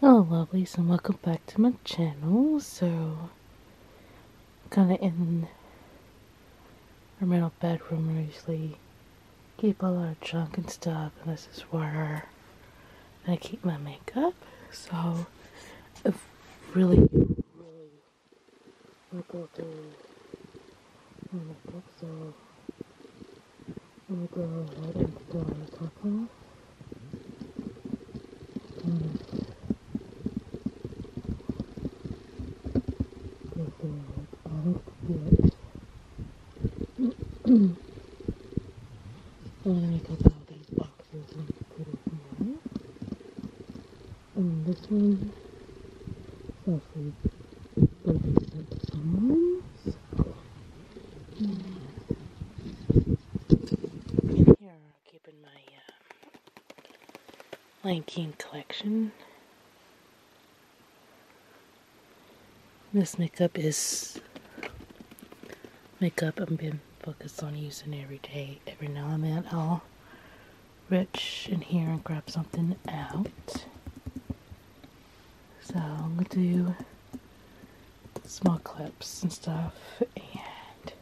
Hello lovelies and welcome back to my channel. So kinda in our little bedroom we usually keep all our junk and stuff and this is where I keep my makeup. So i really really not go through my makeup so We'll go right into the taco. And this is olive beer. and I took all these boxes and put it here. And this one, sausage, burgers, and someone's. In here, I'll keep my uh, collection. This makeup is makeup I've been focused on using every day. Every now and then I'll reach in here and grab something out. So I'm going to do small clips and stuff and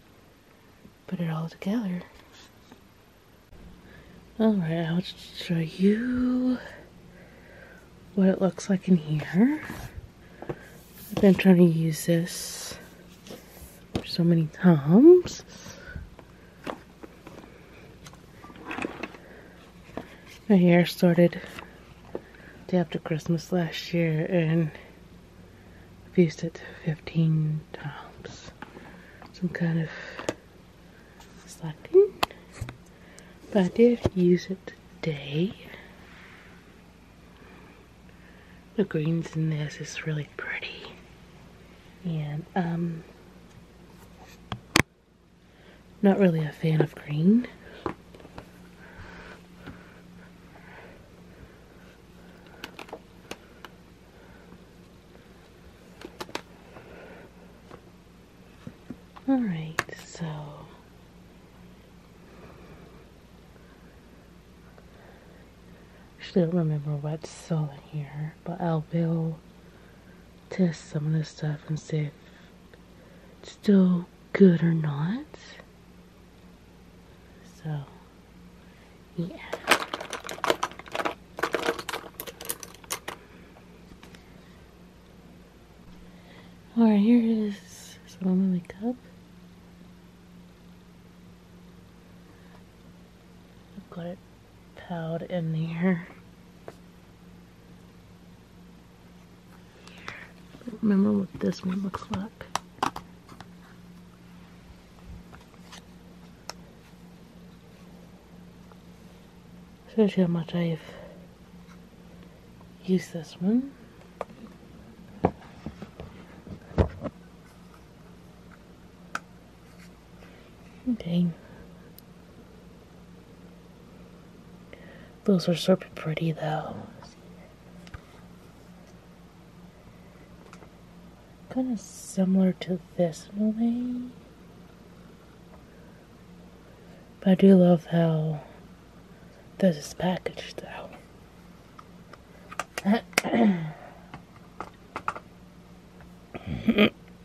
put it all together. Alright, I'll just show you what it looks like in here. I've been trying to use this so many times. Right here started day after Christmas last year and I've used it 15 times. Some kind of slacking. But I did use it today. The greens in this is really pretty. And, um, not really a fan of green. Alright, so actually I don't remember what's sold in here, but I will test some of this stuff and see if it's still good or not. So, yeah. Alright, here is some of the cup. I've got it piled in there remember what this one looks like. Shows you how much I've used this one. Okay. Those are super pretty though. Kind of similar to this one. I do love how this is packaged though.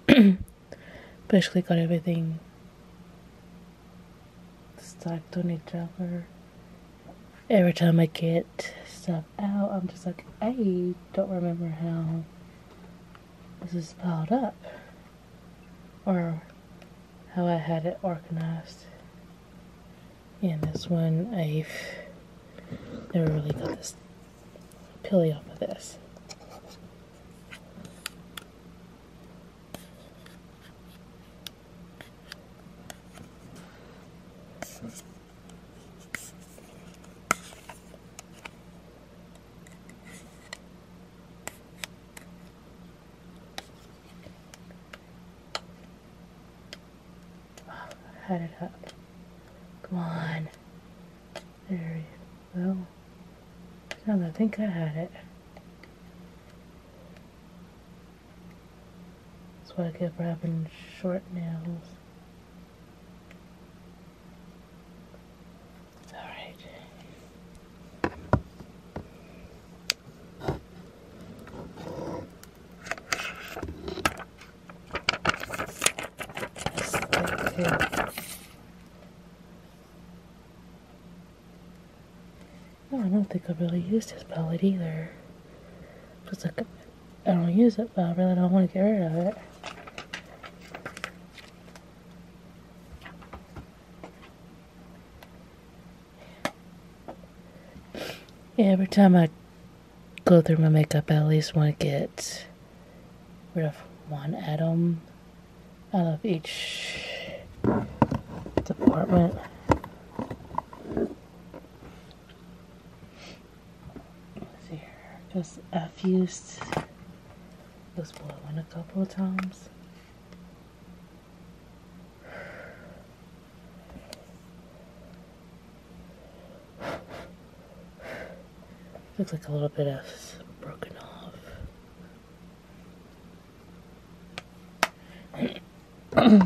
Basically got everything stuck on each other. Every time I get stuff out, I'm just like, I don't remember how this is piled up or how I had it organized. And this one, I've never really got this pilly off of this. Head it up. Come on. There you go. Now that I think I had it. That's why I get wrapping short nails. I don't think I've really used this palette either. It's like I don't use it, but I really don't want to get rid of it. every time I go through my makeup, I at least want to get rid of one atom out of each department. here, because I've used this blue one a couple of times. Looks like a little bit of broken off. I'm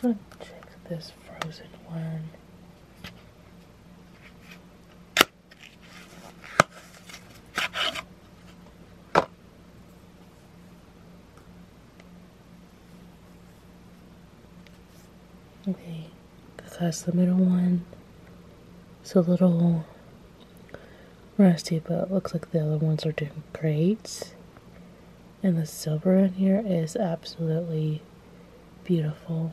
check this frozen one. Okay, that's the middle one It's a little rusty, but it looks like the other ones are doing great. And the silver in here is absolutely beautiful.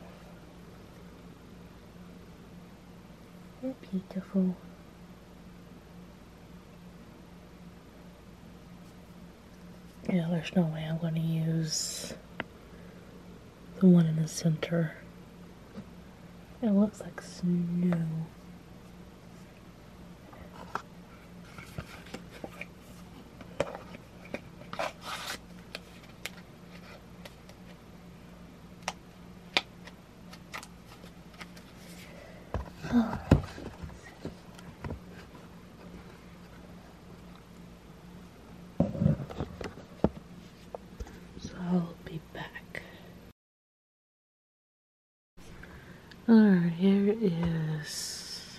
Beautiful. Yeah, there's no way I'm going to use the one in the center. It looks like snow. So I'll be back. Alright, here is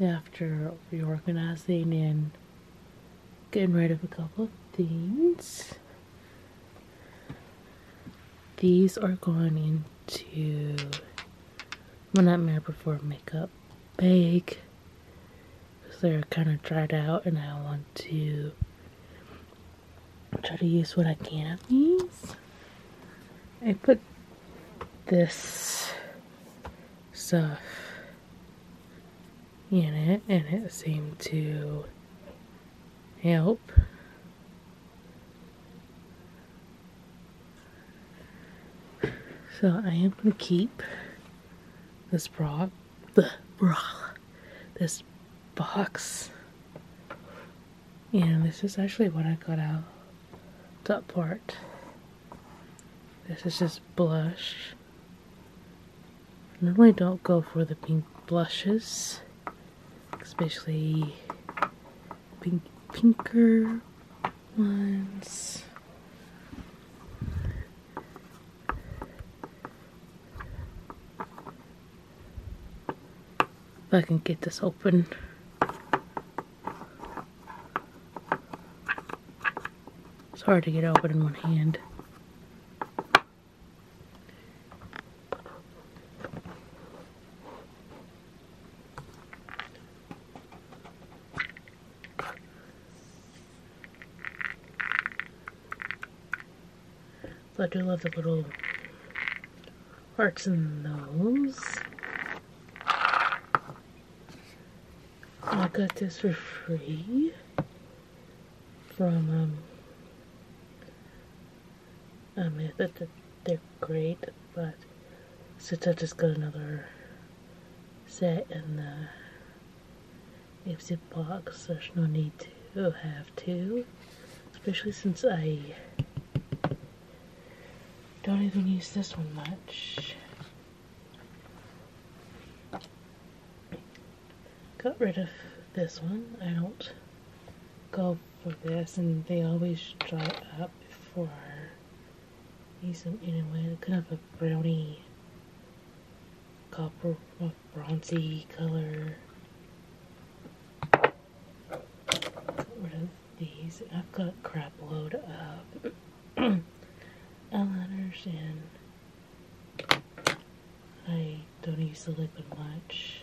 after reorganizing and getting rid of a couple of things. These are going into my Nightmare Before Makeup bag. Because they're kind of dried out and I want to try to use what I can of these. I put this stuff in it and it seemed to help. So I am gonna keep this bra, the bra, this box. And this is actually what I got out. Top part. This is just blush. I normally don't go for the pink blushes, especially pink, pinker ones. If I can get this open. It's hard to get open in one hand. I do love the little hearts in those. I got this for free from um, I mean, they're great, but since I just got another set in the Ipsy box, there's no need to have two, especially since I don't even use this one much. Got rid of this one. I don't go for this, and they always dry up before using anyway, kind of a brownie, copper bronzy color. Get rid these. I've got a crap load of eyeliners and I don't use the liquid much.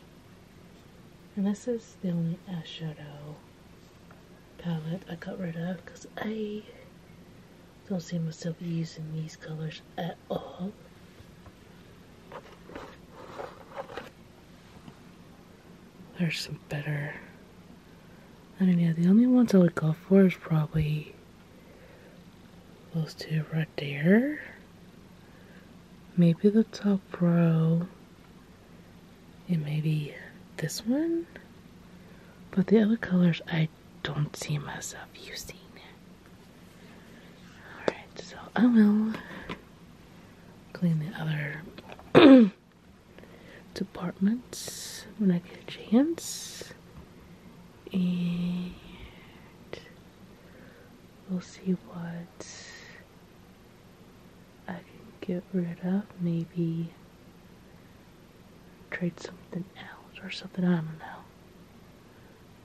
And this is the only eyeshadow palette I got rid of because I don't see myself using these colors at all. There's some better. I mean, yeah, the only ones I would go for is probably those two right there. Maybe the top row. And maybe this one, but the other colors I don't see myself using. Alright, so I will clean the other departments when I get a chance. And we'll see what I can get rid of. Maybe trade something else or something. I don't know.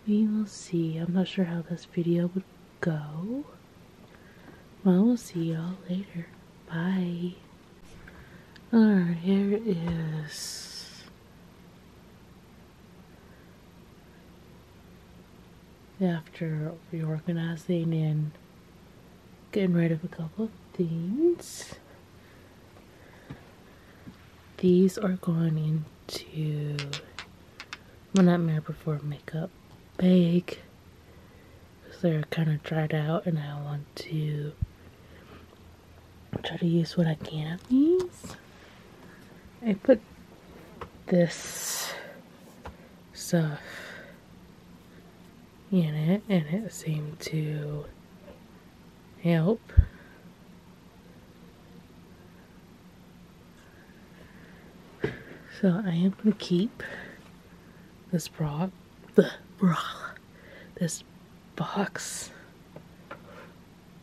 We will see. I'm not sure how this video would go. Well, we'll see y'all later. Bye. Alright, here it is after reorganizing and getting rid of a couple of things. These are going into my Nightmare Before Makeup bag because they're kind of dried out and I want to try to use what I can of these. I put this stuff in it, and it seemed to help. So I am going to keep this bra, the bra, this box.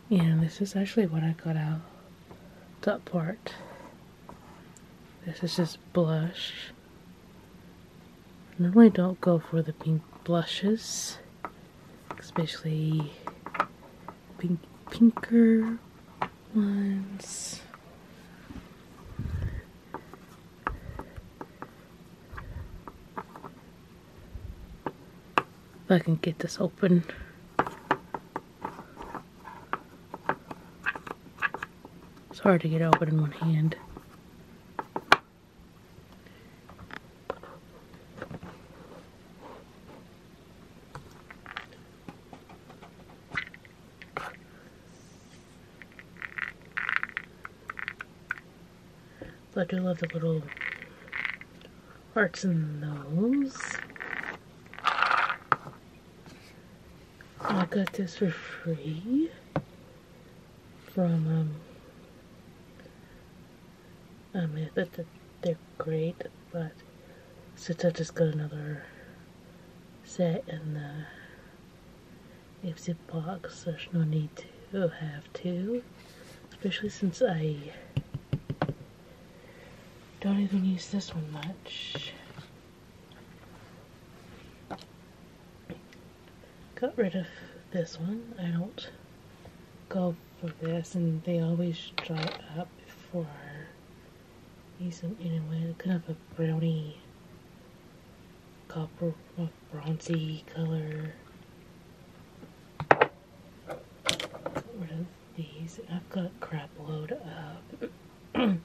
And this is actually what I got out, that part. This is just blush. Normally don't go for the pink blushes, especially pinker ones. If I can get this open. It's hard to get open in one hand. But I love the little hearts in those. I got this for free from um I mean that they're great but since I just got another set in the Ipsy box there's no need to have two especially since I don't even use this one much got rid of this one. I don't go for this and they always dry up before I use them anyway. Kind of a brownie, copper bronzy color. Got rid these. I've got crap load up. I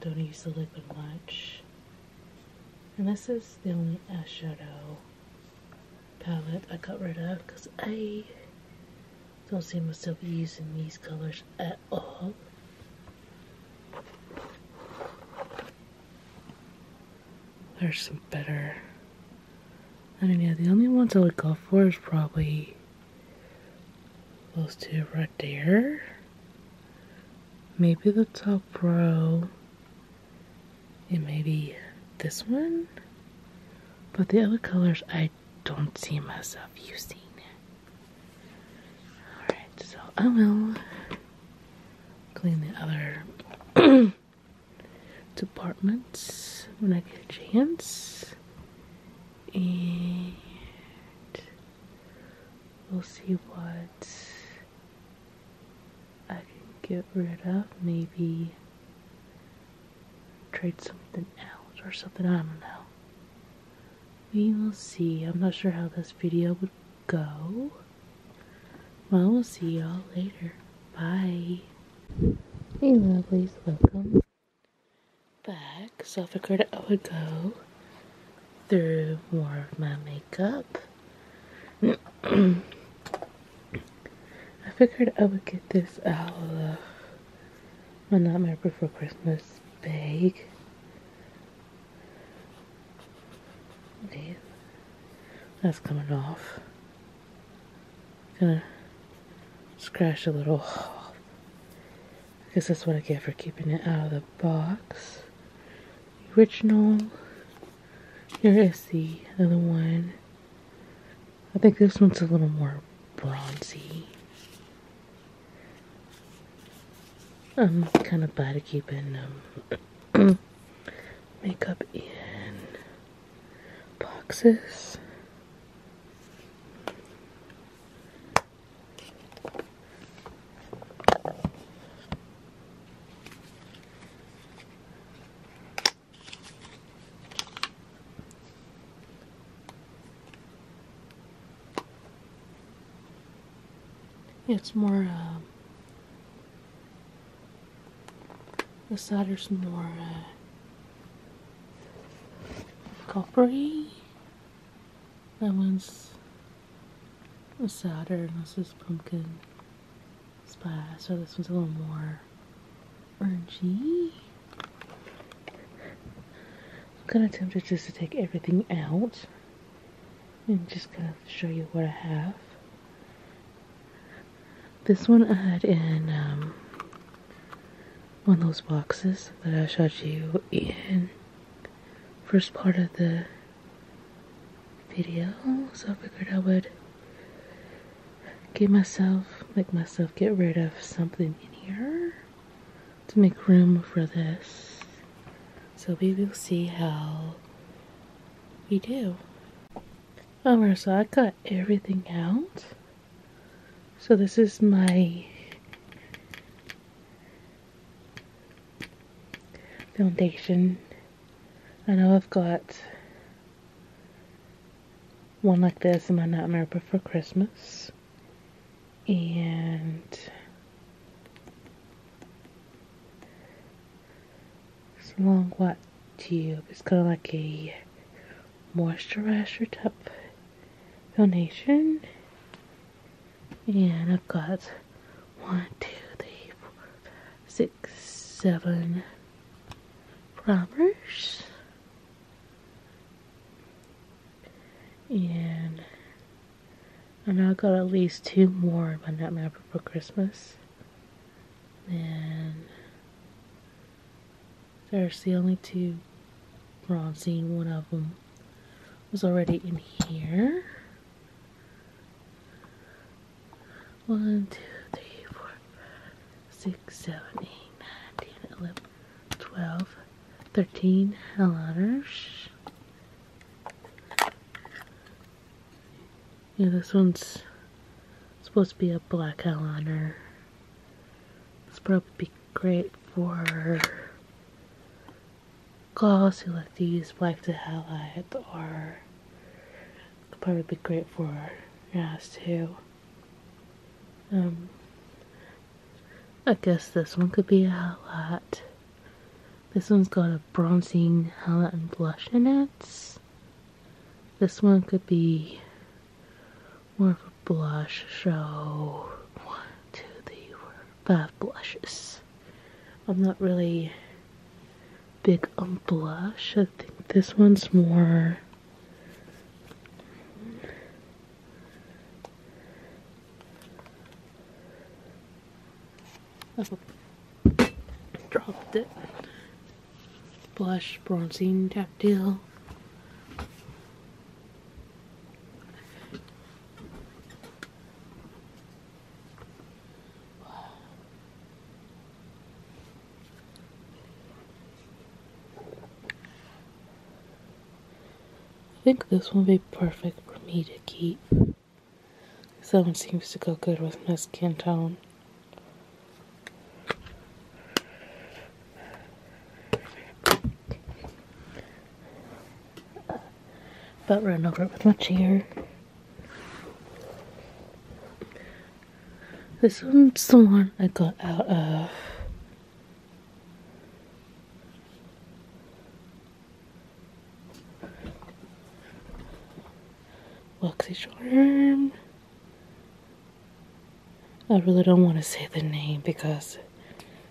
don't use the liquid much. And this is the only eyeshadow palette I got rid of because I don't see myself using these colors at all. There's some better I mean, the only ones I would go for is probably those two right there. Maybe the top row. And maybe this one. But the other colors, I don't see myself using. Alright, so I will clean the other departments when I get a chance and we'll see what I can get rid of. Maybe trade something else or something. I don't know. We will see. I'm not sure how this video would go. Well, we'll see y'all later. Bye. Hey lovelies, welcome back, so I figured I would go through more of my makeup. I figured I would get this out of my Nightmare Before Christmas bag. That's coming off. Gonna scratch a little hole. Because that's what I get for keeping it out of the box. The original. Here is the other one. I think this one's a little more bronzy. I'm kind of bad at keeping um, makeup in boxes. It's more, um, uh, the solder's more coppery. That one's a Saturn. This is pumpkin spice. So this one's a little more orangey. I'm kind of tempted just to take everything out and just kind of show you what I have. This one I had in um, one of those boxes that I showed you in first part of the video. So I figured I would get myself, make myself get rid of something in here to make room for this. So we will see how we do. Alright, so I cut everything out. So this is my foundation. I know I've got one like this in my Nightmare Before Christmas. And it's a long white tube. It's kind of like a moisturizer type donation. And I've got one, two, three, four, five, six, seven robbers. And I know I got at least two more by Nutmapper for Christmas. And there's the only two bronzing. One of them was already in here. One, two, three, four, five, six, seven, eight, nine, ten, eleven, twelve, thirteen eyeliners. Yeah, this one's supposed to be a black eyeliner. It's probably great for girls who like to black to highlight or probably be great for your eyes too. Um, I guess this one could be a highlight. This one's got a bronzing highlight and blush in it. This one could be more of a blush, so one, two, three, four, five blushes. I'm not really big on blush. I think this one's more oh. dropped it. Blush, bronzing, tap deal. I think this will be perfect for me to keep. This one seems to go good with my skin tone. About run over it with my chair. This one's the one I got out of Waxy Charm. I really don't want to say the name because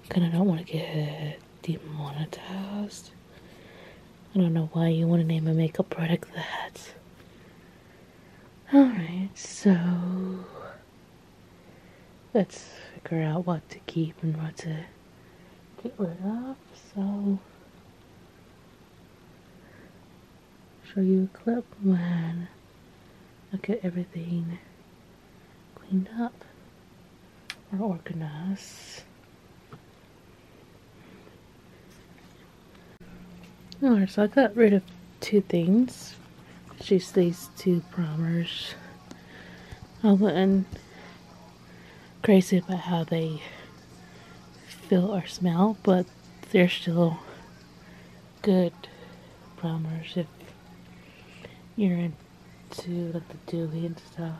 kind of don't want to get demonetized. I don't know why you want to name a makeup product that. Alright, so let's figure out what to keep and what to get rid of. So, show you a clip when I'll everything cleaned up or organized. Alright, so I got rid of two things. Just these two primers. I wasn't crazy about how they feel or smell, but they're still good plumbers if you're into like the dooley and stuff.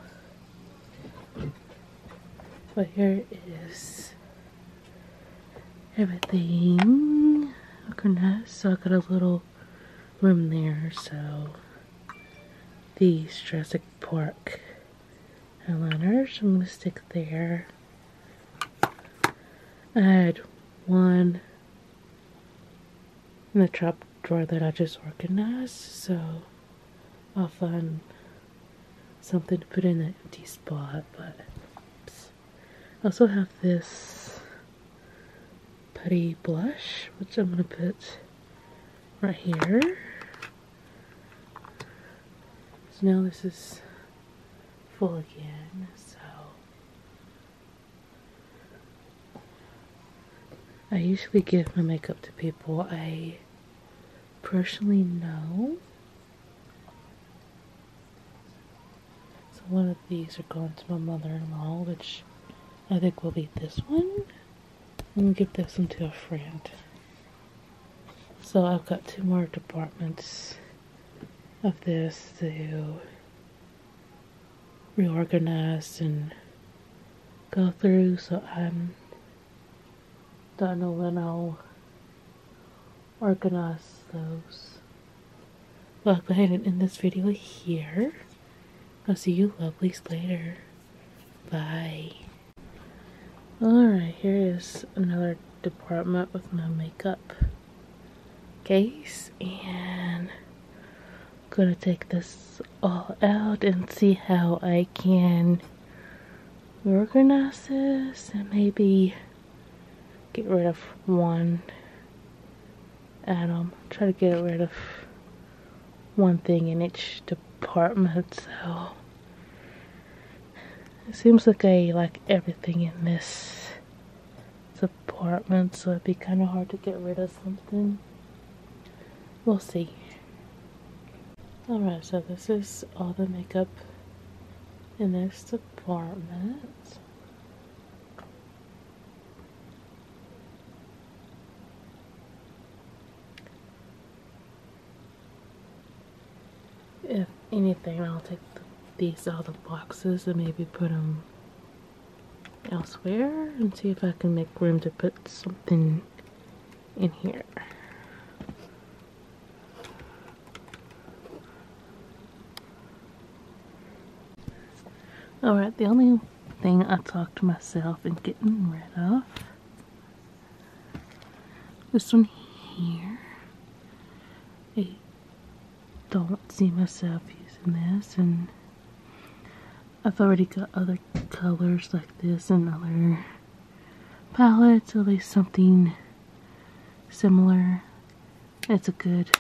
But here is everything organized. So I got a little room there. So these Jurassic Park eyeliners I'm gonna stick there. Add one in the trap drawer that I just organized. So I'll find something to put in that empty spot. But I also have this putty blush, which I'm gonna put right here. So now this is full again. So I usually give my makeup to people I personally know. So one of these are going to my mother-in-law, which I think will be this one. I'm going to give this one to a friend. So I've got two more departments of this to reorganize and go through. So i don't know when I'll organize those. Well, I'll go ahead end this video here. I'll see you lovelies later. Bye. Alright, here is another department with no makeup case and I'm gonna take this all out and see how I can organize this and maybe get rid of one atom try to get rid of one thing in each department so it seems like I like everything in this apartment, so it'd be kind of hard to get rid of something. We'll see. Alright, so this is all the makeup in this apartment. If anything, I'll take these out of boxes and maybe put them elsewhere and see if I can make room to put something in here. Alright, the only thing I talked to myself and getting rid of this one here. A don't see myself using this and I've already got other colors like this and other palettes, at least something similar. That's a good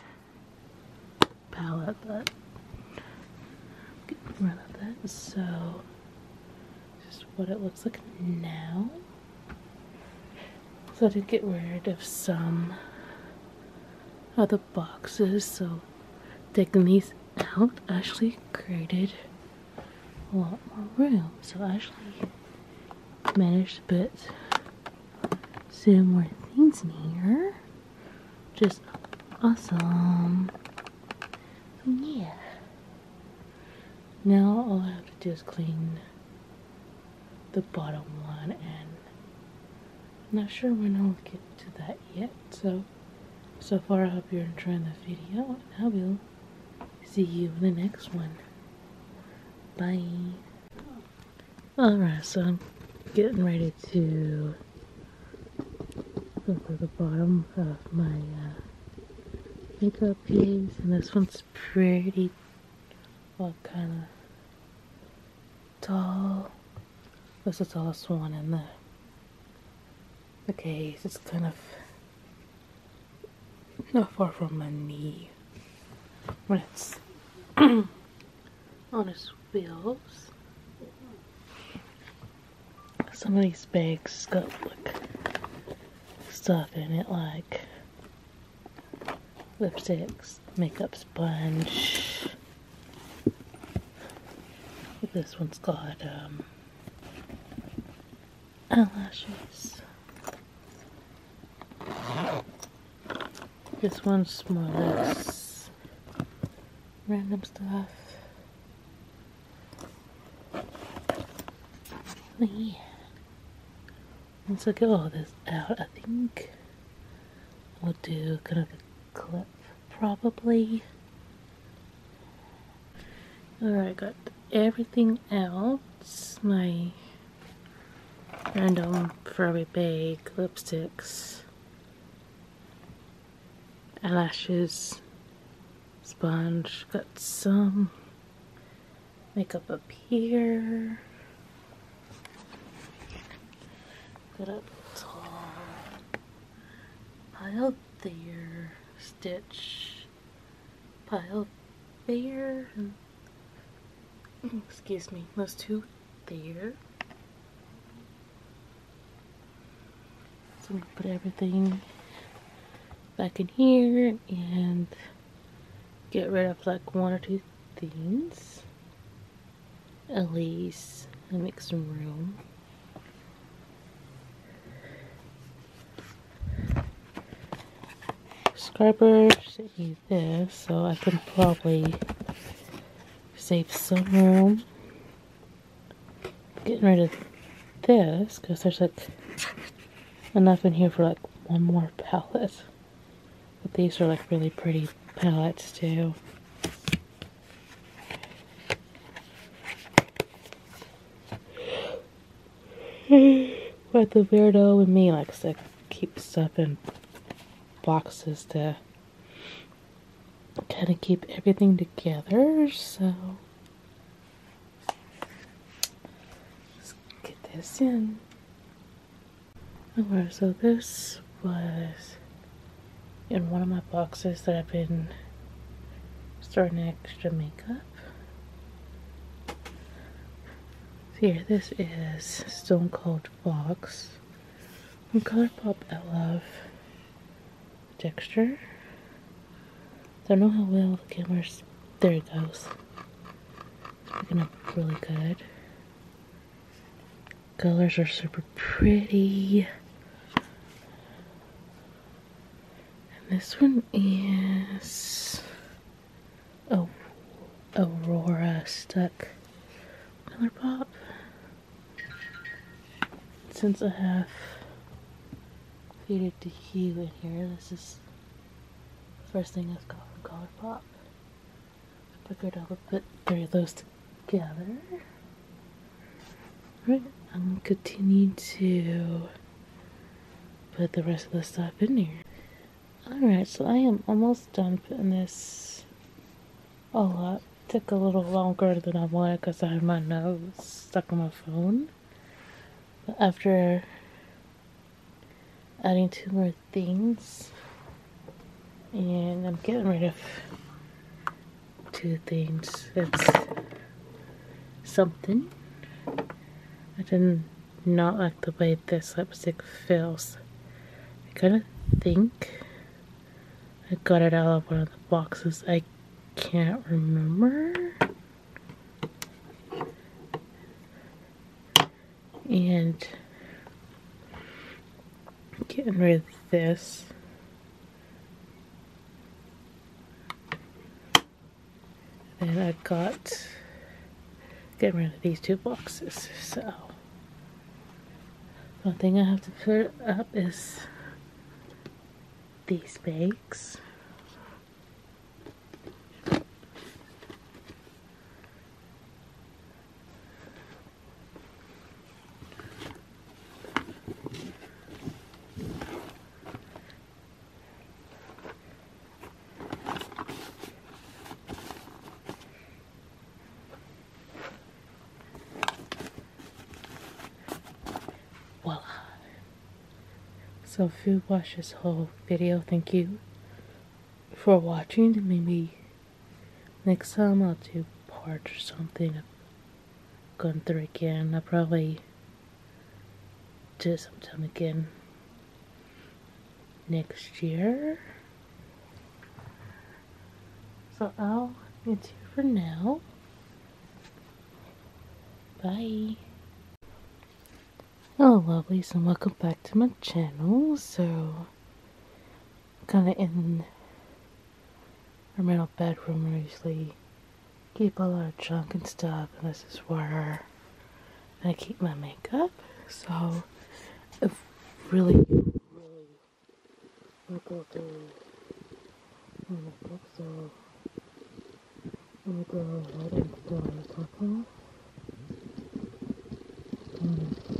palette, but I'm getting that. So, just what it looks like now. So I did get rid of some other boxes. So taking these out actually created a lot more room. So I actually managed to put some more things in here. Just awesome. Yeah. Now all I have to do is clean the bottom one, and not sure when I'll get to that yet. So, so far, I hope you're enjoying the video, and I will see you in the next one. Bye. Alright, so I'm getting ready to go for the bottom of my uh, makeup piece, and this one's pretty, well, kind of tall. This is the tallest one in the the case. It's kind of not far from my knee when it's on its wheels. Some of these bags got like stuff in it, like lipsticks, makeup sponge. This one's got um, eyelashes. This one's more or less random stuff. Yeah. Once I get all this out, I think we'll do kind of a clip, probably. Alright, got everything else. My random Furby bag, lipsticks, eyelashes, sponge. Got some makeup up here. Put up tall Pile there, stitch. Pile there. Excuse me, those two there. So we put everything back in here and get rid of like one or two things. Elise and make some room. Subscribers need this, so I can probably save some room. Getting rid of this because there's like enough in here for like one more palette. But these are like really pretty palettes too. but the weirdo with me likes to keep stuff in boxes to kind of keep everything together, so get this in. Alright, so this was in one of my boxes that I've been storing extra makeup. So here, this is Stone Cold Box from Colourpop. I love texture. Don't know how well the camera's. There it goes. It's picking up really good colors are super pretty. And this one is oh, Aurora Stuck Color Pop. Since I have faded to hue in here, this is the first thing I've got from Color Pop figured I would put three of those together. Alright, I'm gonna continue to put the rest of the stuff in here. Alright, so I am almost done putting this all up. took a little longer than I wanted because I had my nose stuck in my phone. after adding two more things. And I'm getting rid of two things. That's something. I did not like the way this lipstick feels. I kind of think I got it out of one of the boxes. I can't remember and getting rid of this and I've got getting rid of these two boxes so the thing I have to put up is these bags Voila. So you watch this whole video. Thank you for watching. me. Next time I'll do part or something. I've gone through again. I'll probably do sometime again next year. So I'll it's here for now. Bye. Hello lovelies and welcome back to my channel. So kind of in our middle bedroom where we usually keep all our junk and stuff Unless it's where I keep my makeup so it's really really go through my makeup so I'm gonna go ahead and go on the top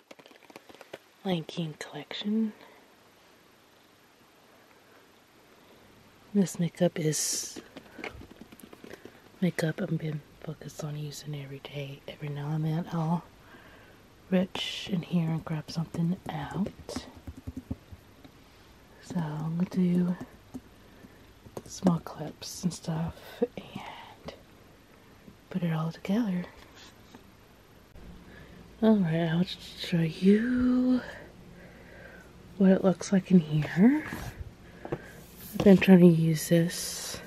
Lion collection. This makeup is makeup I've been focused on using every day. Every now and then I'll reach in here and grab something out. So I'm gonna do small clips and stuff and put it all together. Alright, I'll just show you what it looks like in here. I've been trying to use this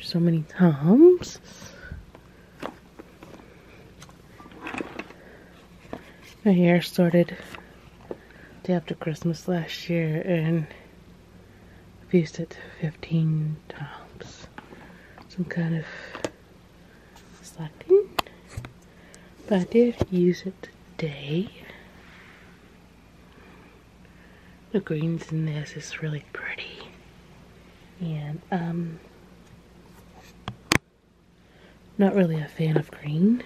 so many times. My hair started day after Christmas last year and Used it 15 times. Some kind of slacking. But I did use it today. The greens in this is really pretty. And, um, not really a fan of green.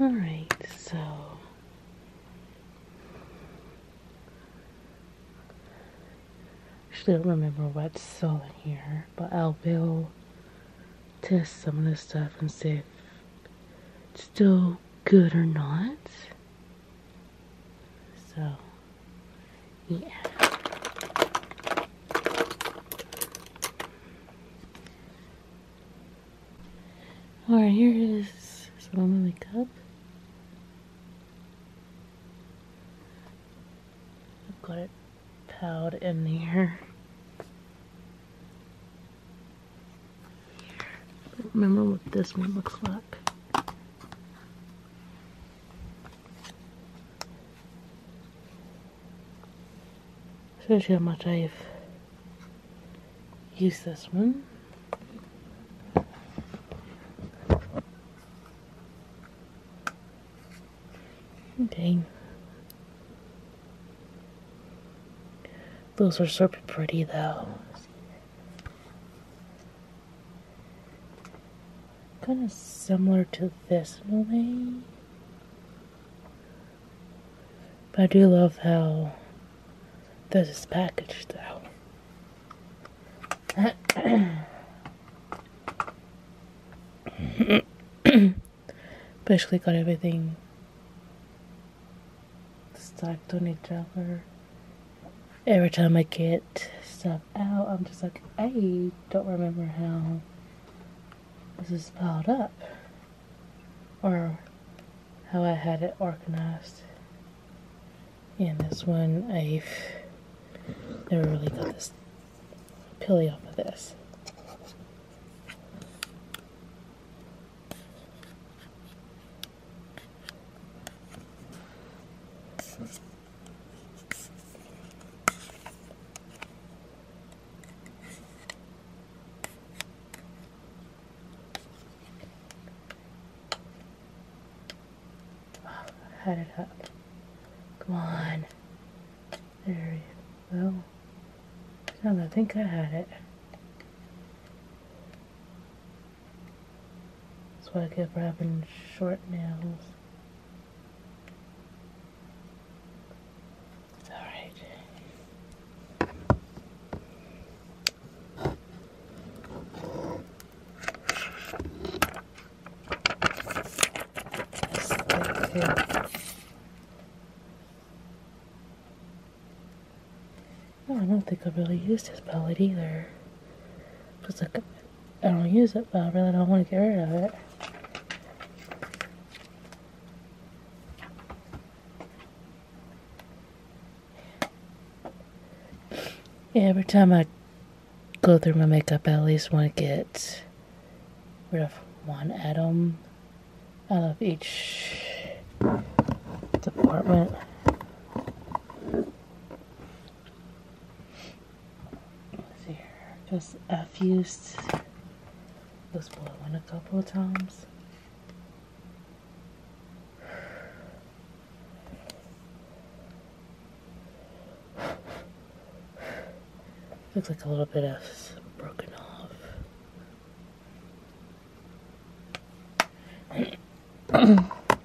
All right, so actually, I don't remember what's selling here, but I will test some of this stuff and see if it's still good or not. So. Yeah. Alright, here is some of the cup. I've got it piled in there. remember what this one looks like. Don't you how much I've used this one. Okay. Those are super pretty though. Kind of similar to this in But I do love how this is packaged though. Basically got everything stacked on each other every time I get stuff out, I'm just like, I don't remember how this is piled up or how I had it organized. And this one, I've never really got this pilly off of this. Wow, it up. Come on. There we go. Now I think I had it. That's why I get for short nails. I don't think i really used his pellet either. Just like I don't use it, but I really don't want to get rid of it. Every time I go through my makeup, I at least want to get rid of one atom out of each department. There, just I've used this one a couple of times. Looks like a little bit of broken off.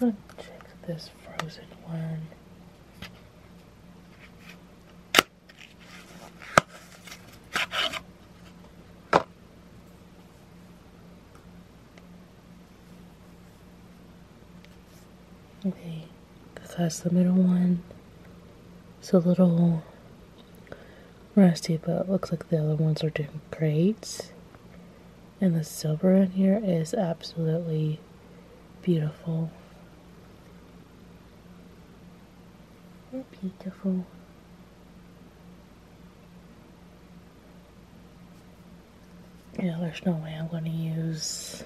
Let's check this frozen one. Okay, because that's the middle one. It's a little rusty, but it looks like the other ones are doing great. And the silver in here is absolutely beautiful. Beautiful. Yeah, there's no way I'm going to use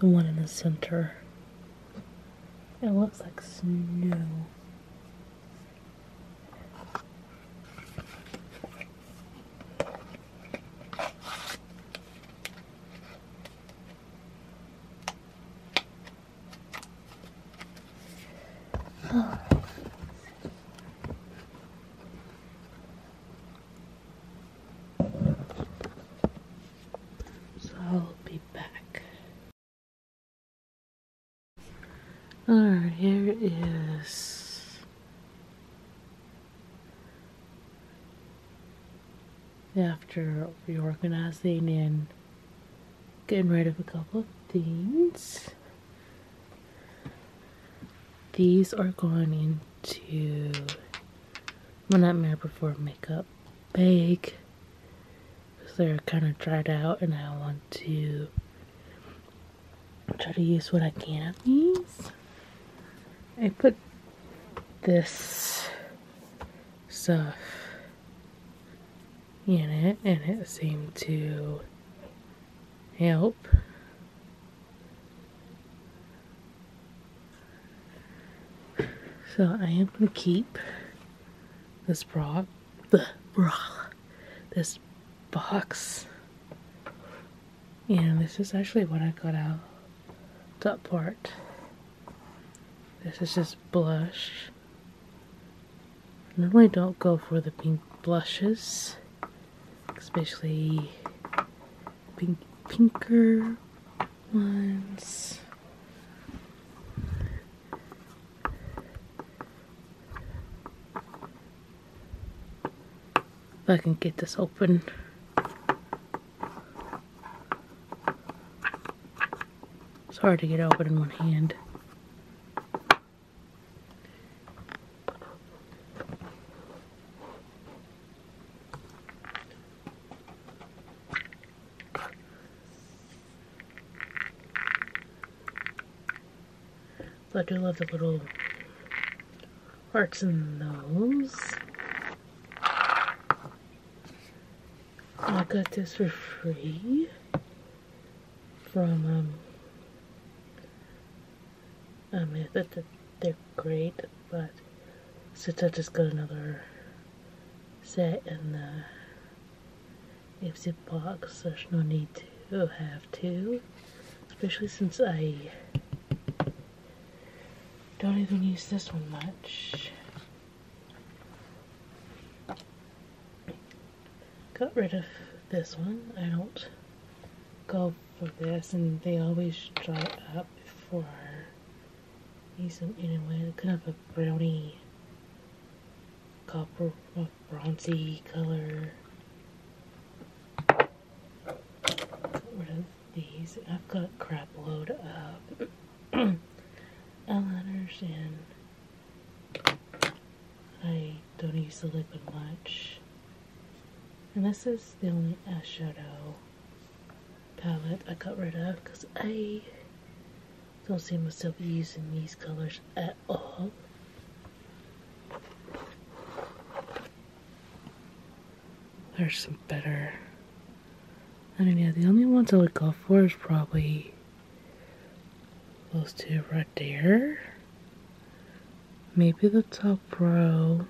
the one in the center. It looks like snow. So I'll be back. Alright, here is after reorganizing and getting rid of a couple of things. These are going into my nightmare before makeup bag they're kind of dried out and I want to try to use what I can of these. I put this stuff in it and it seemed to help. So I am going to keep this bra, the bra, this box. And this is actually what I got out. That part. This is just blush. Normally don't go for the pink blushes, especially pink pinker ones. If I can get this open. It's hard to get open in one hand. But I do love the little hearts in those. I got this for free from um, I mean that, that they're great, but since I just got another set in the uh, if a box, there's no need to have to, especially since I don't even use this one much. Got rid of this one, I don't go for this and they always dry up before need some anyway kind of a brownie copper uh, bronzy color Get rid these I've got crap load of eyeliners and I don't use the liquid much and this is the only eyeshadow palette I got rid of because I don't see myself using these colors at all. There's some better. I don't know. the only ones I would go for is probably those two right there. Maybe the top row.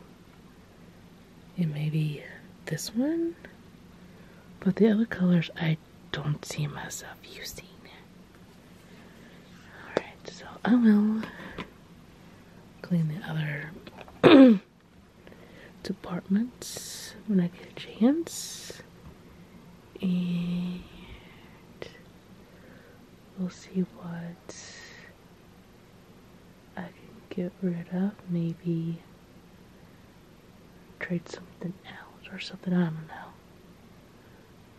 And maybe this one. But the other colors I don't see myself using. Alright, so I will clean the other departments when I get a chance. And we'll see what I can get rid of. Maybe trade something else or something. I don't know.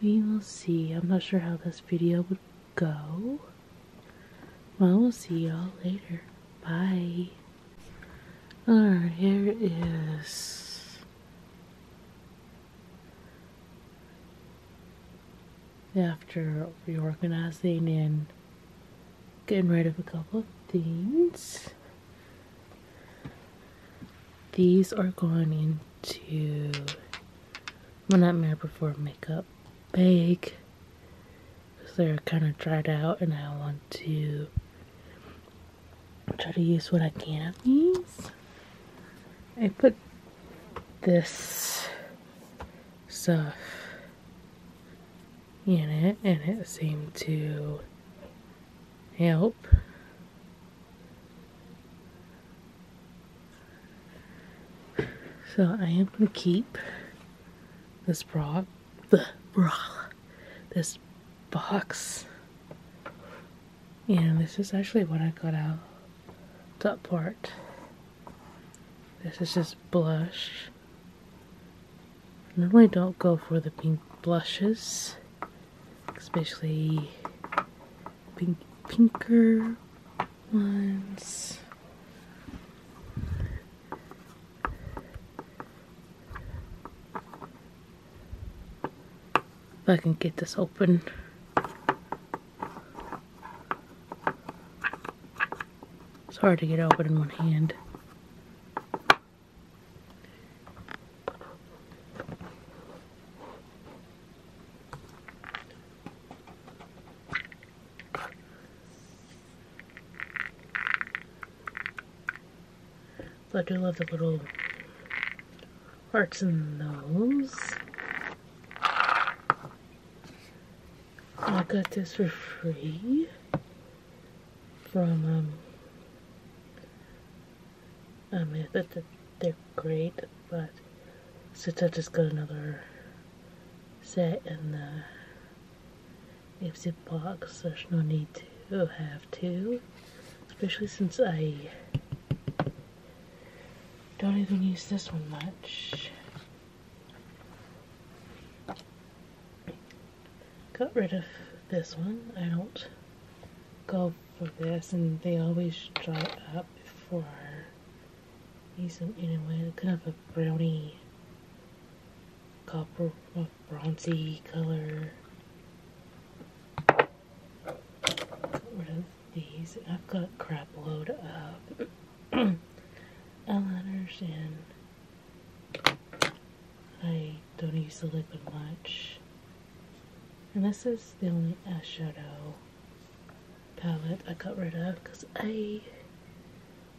We will see. I'm not sure how this video would go. Well, we'll see y'all later. Bye. Alright, here is. After reorganizing and getting rid of a couple of things. These are going into my Nightmare Before Makeup bag. Because they're kind of dried out and I want to try to use what I can of these. I put this stuff in it and it seemed to help. So I am going to keep this bra, the bra, this box. And this is actually what I got out, that part. This is just blush. Normally don't go for the pink blushes especially pinker ones. If I can get this open. It's hard to get open in one hand. I do love the little hearts in those. I got this for free from um, I mean, that they're great, but since I just got another set in the Ipsy box, there's no need to have two, especially since I don't even use this one much got rid of this one. I don't go for this, and they always dry up before I use them anyway. Kind of a brownie, copper, bronzy color. Got rid of these. I've got crap load of eyeliners and I don't use the liquid much. And this is the only eyeshadow palette I got rid of because I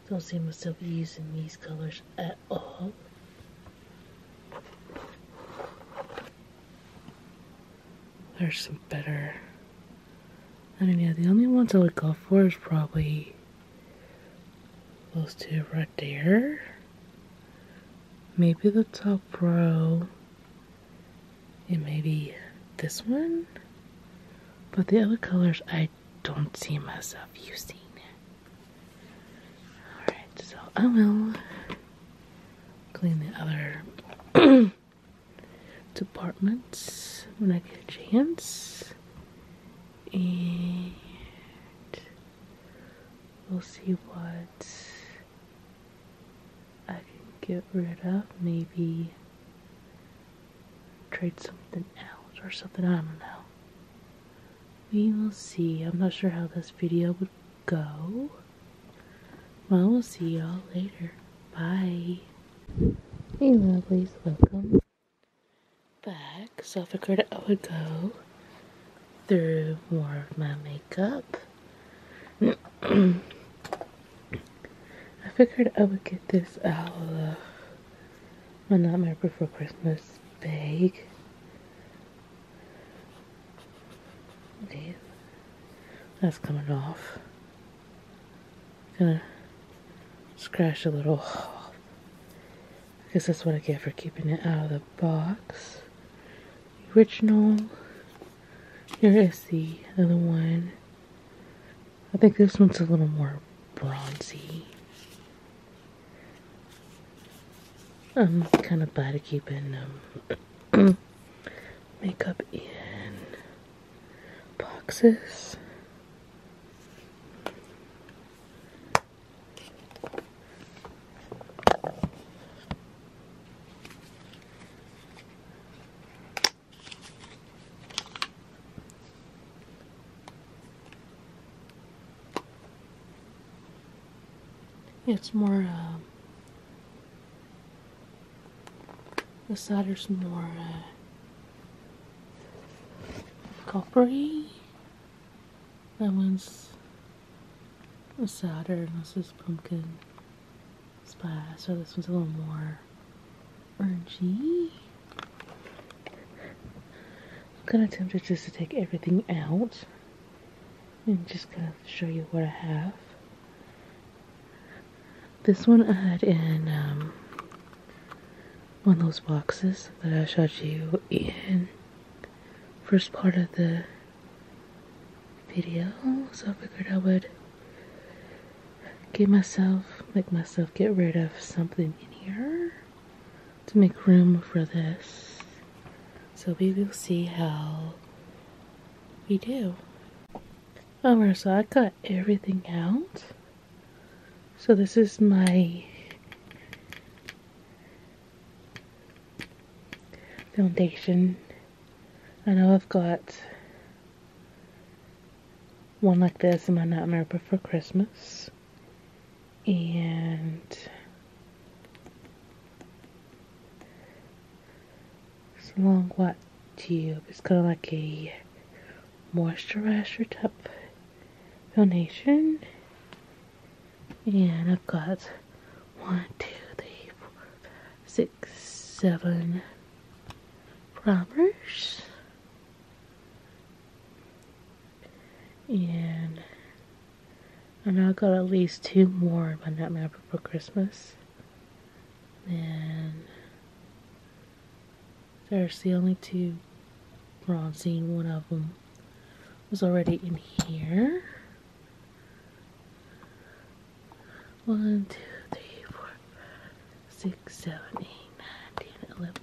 don't see myself using these colors at all. There's some better. I don't know. the only ones I would go for is probably those two right there maybe the top row and maybe this one but the other colors I don't see myself using alright so I will clean the other departments when I get a chance and We'll see what I can get rid of. Maybe trade something else or something. I don't know. We will see. I'm not sure how this video would go. Well, we'll see y'all later. Bye. Hey, lovelies. Welcome back back, so I figured I would go through more of my makeup. I figured I would get this out of my Nightmare Before Christmas bag. That's coming off. Gonna scratch a little I guess that's what I get for keeping it out of the box. original. Here is the other one. I think this one's a little more bronzy. I'm kind of bad at keeping um, makeup in boxes. It's more, uh, the is more uh, coppery. That one's Saturn, this is pumpkin spice, so oh, this one's a little more orangey. I'm kind of tempted just to take everything out I'm just gonna show you what I have. This one I had in um, one of those boxes that I showed you in first part of the video, so I figured I would get myself, make myself get rid of something in here to make room for this. So we will see how we do. Alright, so I cut everything out. So this is my foundation. I know I've got one like this in my Nightmare Before Christmas. And it's a long white tube. It's kind of like a moisturizer type foundation and I've got one, two, three, four, five, six, seven primers. And I know got at least two more in my nut map for Christmas. And there's the only two bronzing. One of them was already in here. 1, 2, 3, 4, 6, 7, 8, 9, 10, 11,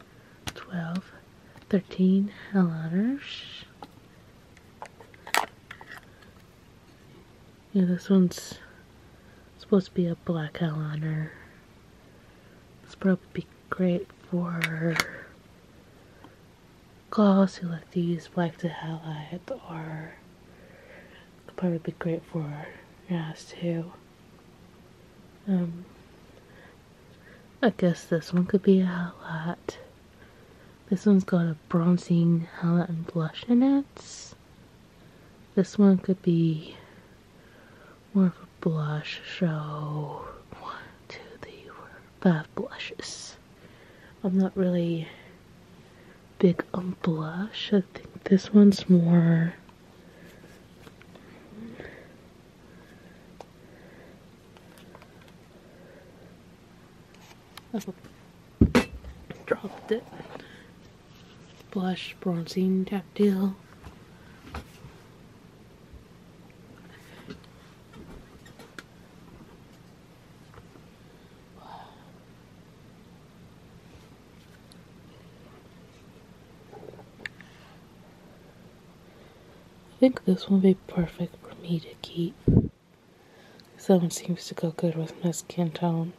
12, 13 letters. Yeah, this one's supposed to be a black hell eyeliner. This probably be great for girls like these, use black to highlight are probably be great for your eyes too. Um, I guess this one could be a highlight. This one's got a bronzing highlight and blush in it. This one could be more of a blush, so one, two, three, four, five blushes. I'm not really big on blush. I think this one's more dropped it. Blush, bronzing, tactile. I think this will be perfect for me to keep. This one seems to go good with my skin tone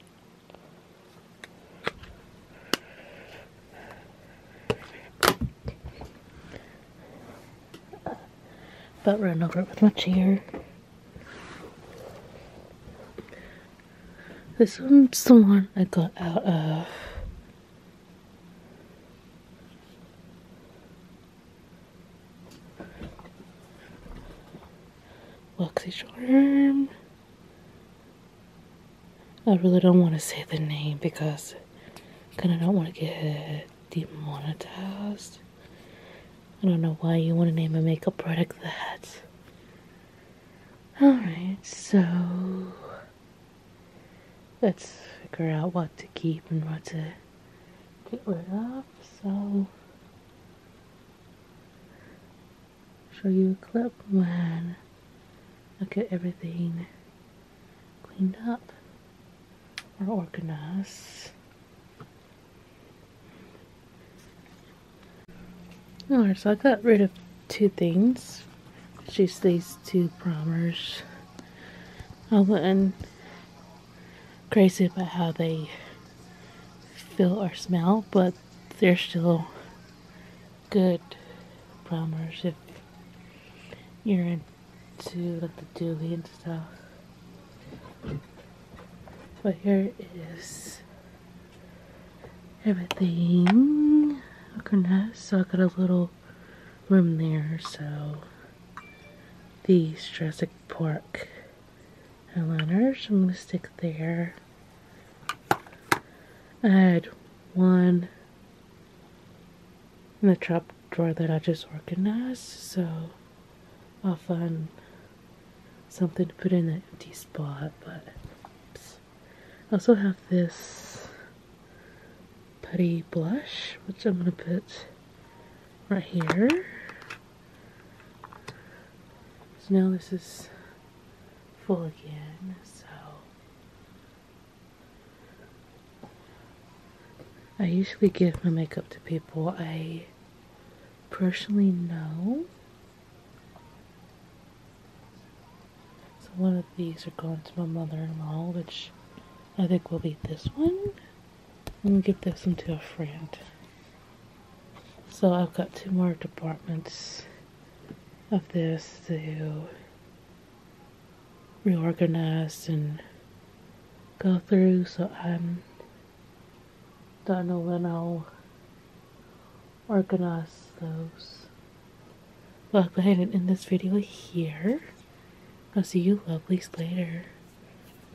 but run over it with my chair. This one's the one I got out of Luxy Charm. I really don't want to say the name because I don't want to get demonetized. I don't know why you want to name a makeup product that. Alright, so let's figure out what to keep and what to get rid of. So, show you a clip when I get everything cleaned up or organize. Alright, so I got rid of two things. just these two primers. I wasn't crazy about how they feel or smell, but they're still good primers if you're in to like the dooley and stuff. But here is everything. Okay, so I got a little room there, so these Jurassic Park highlighters I'm gonna stick there. I had one in the trap drawer that I just organized, so I'll find something to put in that empty spot. But I also have this putty blush, which I'm gonna put right here. So now this is full again. So I usually give my makeup to people I personally know. So one of these are going to my mother-in-law, which I think will be this one. I'm gonna give this one to a friend. So I've got two more departments of this to reorganize and go through, so I'm don't know when I'll organize those. Well, I'll go ahead end this video here. I'll see you lovelies later.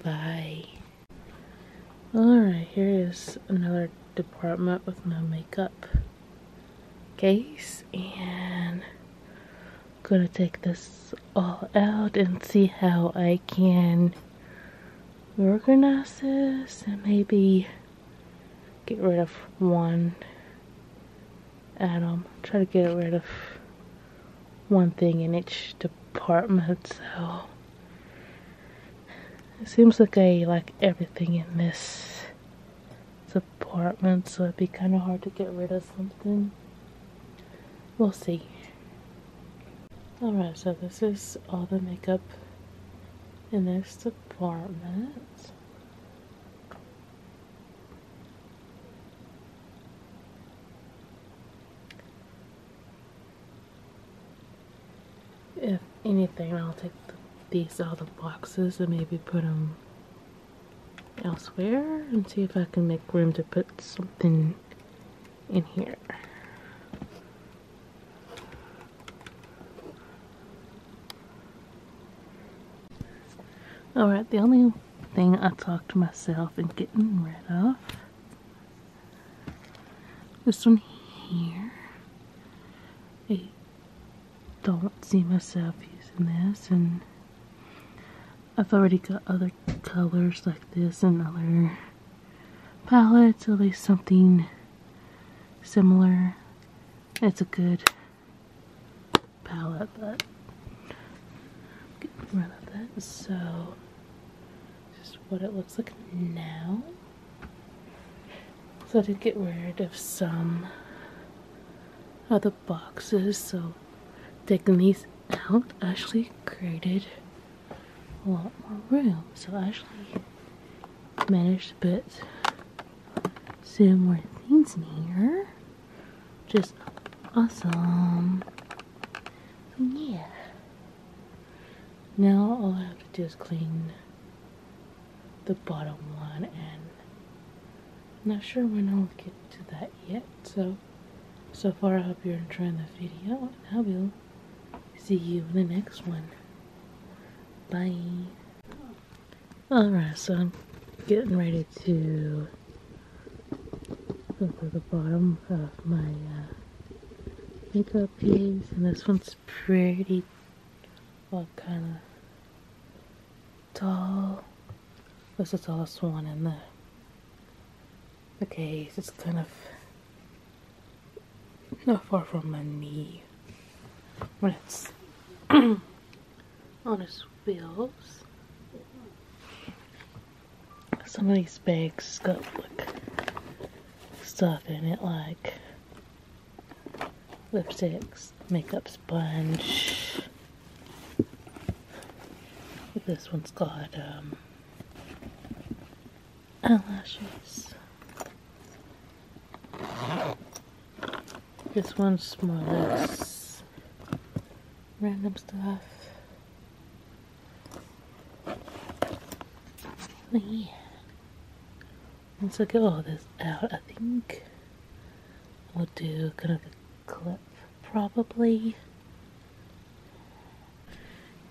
Bye. Alright, here is another department with my makeup case and gonna take this all out and see how I can organize this and maybe get rid of one atom. Try to get rid of one thing in each department so it seems like I like everything in this department so it'd be kind of hard to get rid of something we'll see. Alright, so this is all the makeup in this department. If anything, I'll take these out of boxes and maybe put them elsewhere and see if I can make room to put something in here. Alright, the only thing I talked to myself and getting rid of this one here. I don't see myself using this and I've already got other colors like this and other palettes, at least something similar. It's a good palette, but I'm getting rid of that. So, just what it looks like now. So I did get rid of some other boxes, so taking these out actually created a lot more room. So I actually managed to put some more things in here. Just awesome. yeah. Now all I have to do is clean the bottom one and I'm not sure when I'll get to that yet, so so far, I hope you're enjoying the video, and I will see you in the next one. Bye. Alright, so I'm getting ready to go for the bottom of my uh, makeup piece, and this one's pretty, kind of tall. This is all that's one in the the case. It's kind of not far from my knee. What's on his wheels. Some of these bags got like stuff in it like lipsticks, makeup sponge. This one's got um eyelashes. This one's more or less random stuff. Oh, yeah. Let's look all this out, I think. We'll do kind of clip probably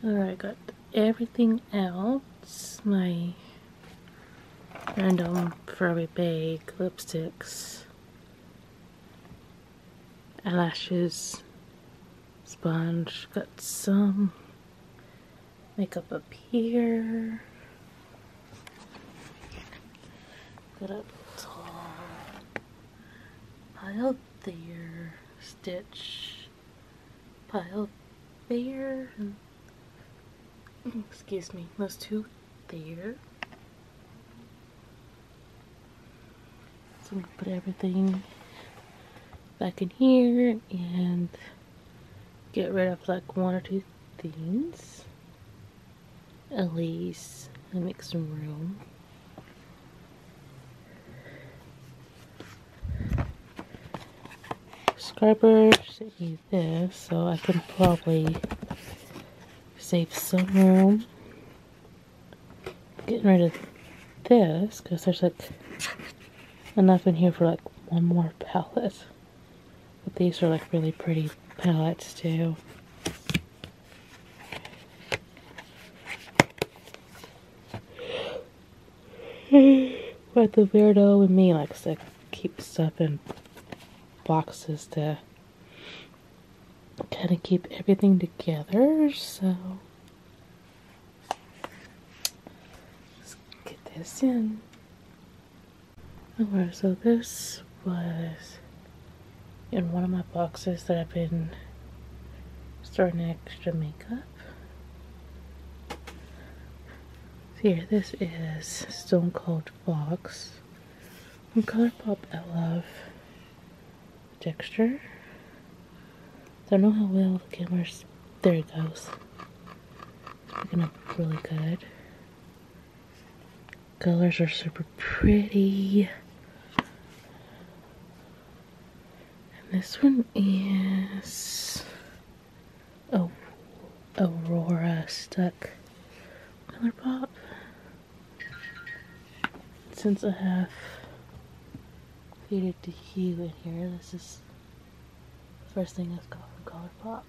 alright got everything else my random furry bag lipsticks eyelashes sponge got some makeup up here got up tall pile there, stitch, pile there, excuse me, those two there. So I'm going to put everything back in here and get rid of like one or two things. At least and make some room. Subscriber sent me this, so I can probably save some room. Getting rid of this, because there's like enough in here for like one more palette. But these are like really pretty palettes too. but the weirdo in me likes to keep stuff in boxes to kind of keep everything together, so let's get this in. Alright, oh, so this was in one of my boxes that I've been storing extra makeup. Here, this is Stone Cold Box Color Pop I love the texture. Don't know how well the camera's. There it goes. It's picking up really good. Colors are super pretty. And this one is oh, Aurora Stuck Miller Pop. Since I have faded to hue in here, this is the first thing I've got from Color Pop.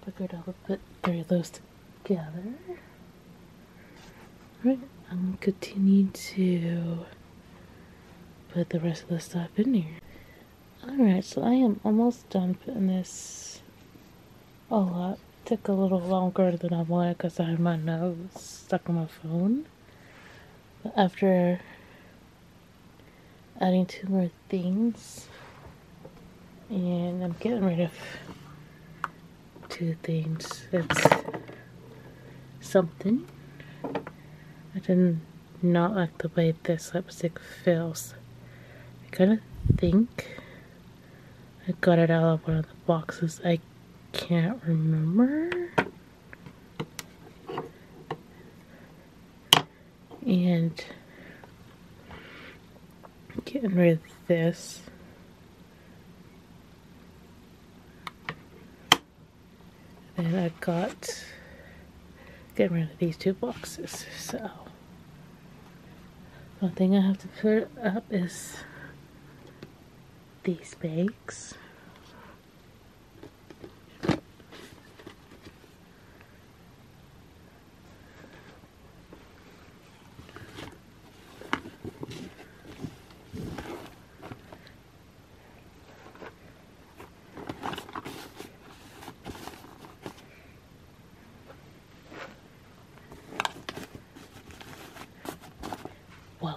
I figured I would put three of those together. Alright, I'm gonna continue to put the rest of the stuff in here. Alright, so I am almost done putting this all up. took a little longer than I wanted because I had my nose stuck in my phone. But after adding two more things, and I'm getting rid of two things. That's something. I did not like the way this lipstick feels. I kind of think I got it out of one of the boxes. I can't remember. And getting rid of this then I've got getting rid of these two boxes. So one thing I have to put up is these bags. Voila! Uh,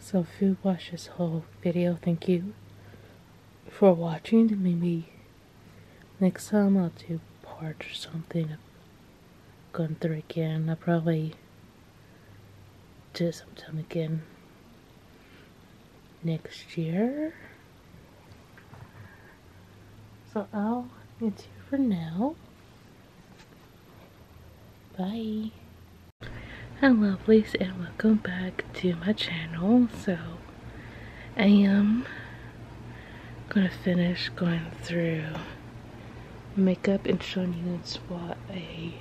so food watch this whole video. Thank you for watching. Maybe next time I'll do part or something Going through again. I'll probably do it sometime again next year. So I'll it's here for now. Bye. Hello, lovelies and welcome back to my channel. So I am gonna finish going through makeup and showing you what I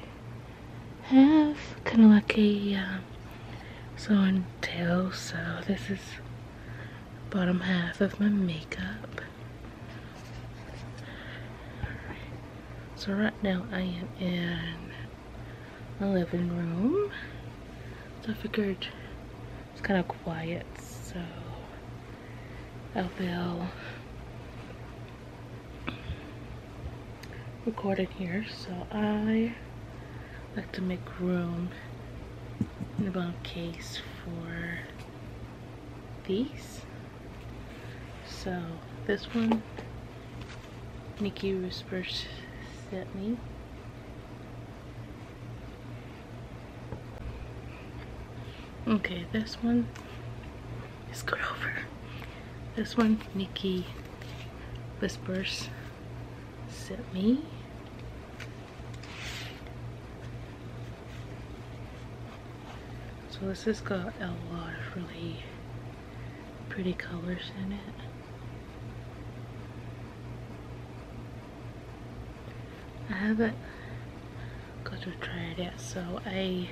have. Kind of like a um, so on tail. So this is bottom half of my makeup. So right now I am in my living room. So I figured it's kind of quiet, so I will record in here. So I have to make room in the bottom case for these. So this one Nikki Rusper sent me. Okay, this one is over. This one, Nikki Whispers sent me. So this has got a lot of really pretty colors in it. I haven't because to try it out. So I,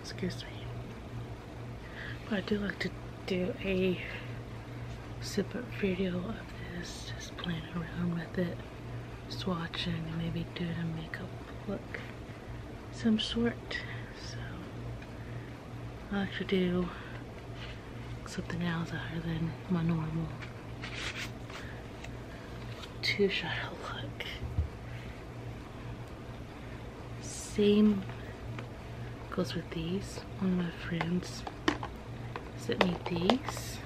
excuse me, but I do like to do a separate video of this, just playing around with it, swatching, maybe doing a makeup look some sort. So I like to do something else other than my normal two shot look. Same goes with these. One of my friends sent me these.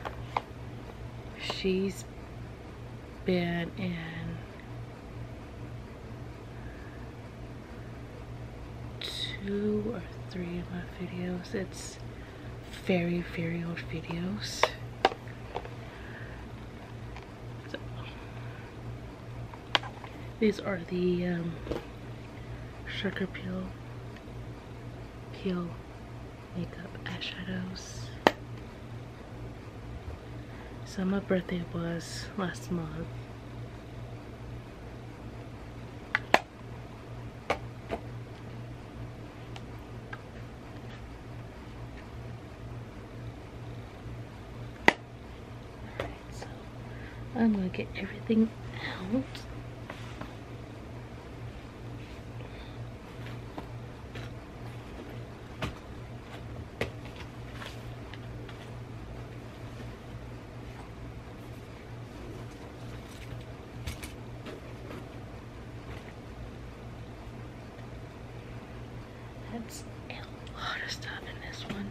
She's been in two or three of my videos. It's very, very old videos. these are the um, sugar peel, peel makeup eyeshadows. So my birthday was last month. I'm going to get everything out. That's a lot of stuff in this one.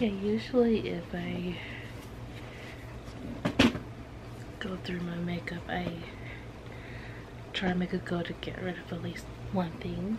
Yeah, usually if I go through my makeup, I try to make a go to get rid of at least one thing.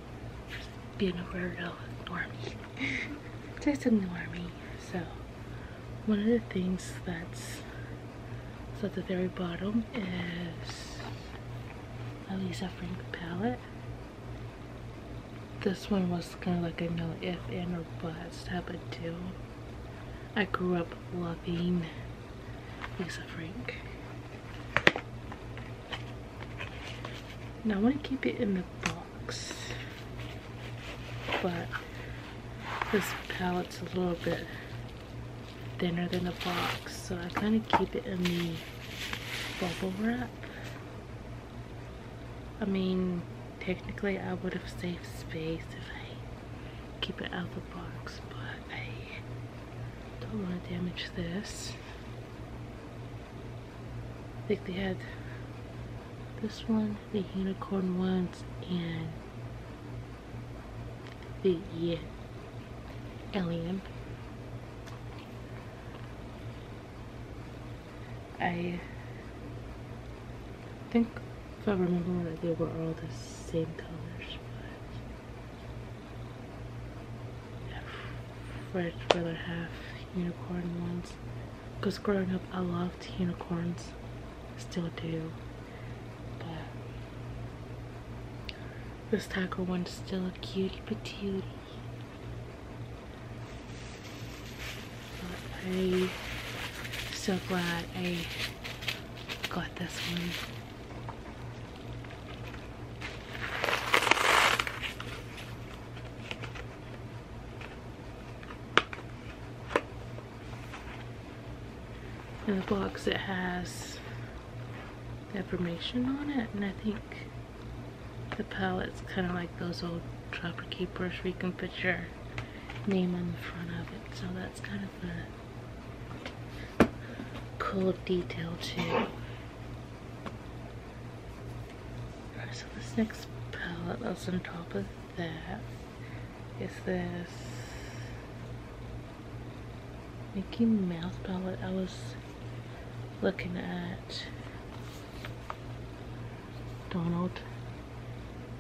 being a Virgo normie. Just a normie. So one of the things that's so at the very bottom is a Lisa Frank palette. This one was kind of like a no if and or but type of deal. I grew up loving Lisa Frank. I want to keep it in the box, but this palette's a little bit thinner than the box, so I kind of keep it in the bubble wrap. I mean, technically I would have saved space if I keep it out of the box, but I don't want to damage this. I think they had this one, the unicorn ones, and the yeah, alien. I think if I remember that they were all the same colors, but red rather half unicorn ones because growing up I loved unicorns still do but this tiger one's still a cutie patootie but I'm so glad I got this one in the box it has information on it and I think the palette's kind of like those old trapper keepers where you can put your name on the front of it so that's kind of fun cool detail too. So this next palette that's on top of that is this Mickey Mouse palette I was looking at. Donald.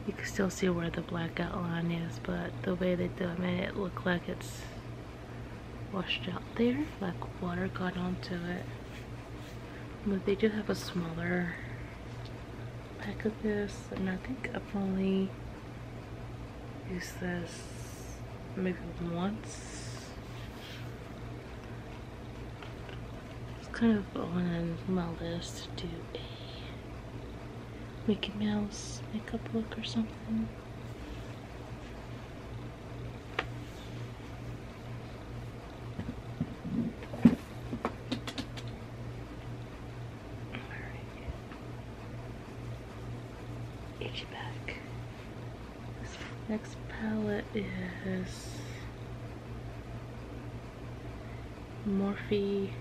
You can still see where the black outline is, but the way they done it, it looked like it's washed out there like water got onto it but they do have a smaller pack of this and I think I've only used this maybe once it's kind of on my list to do a Mickey Mouse makeup look or something Itchy back. This next palette is Morphe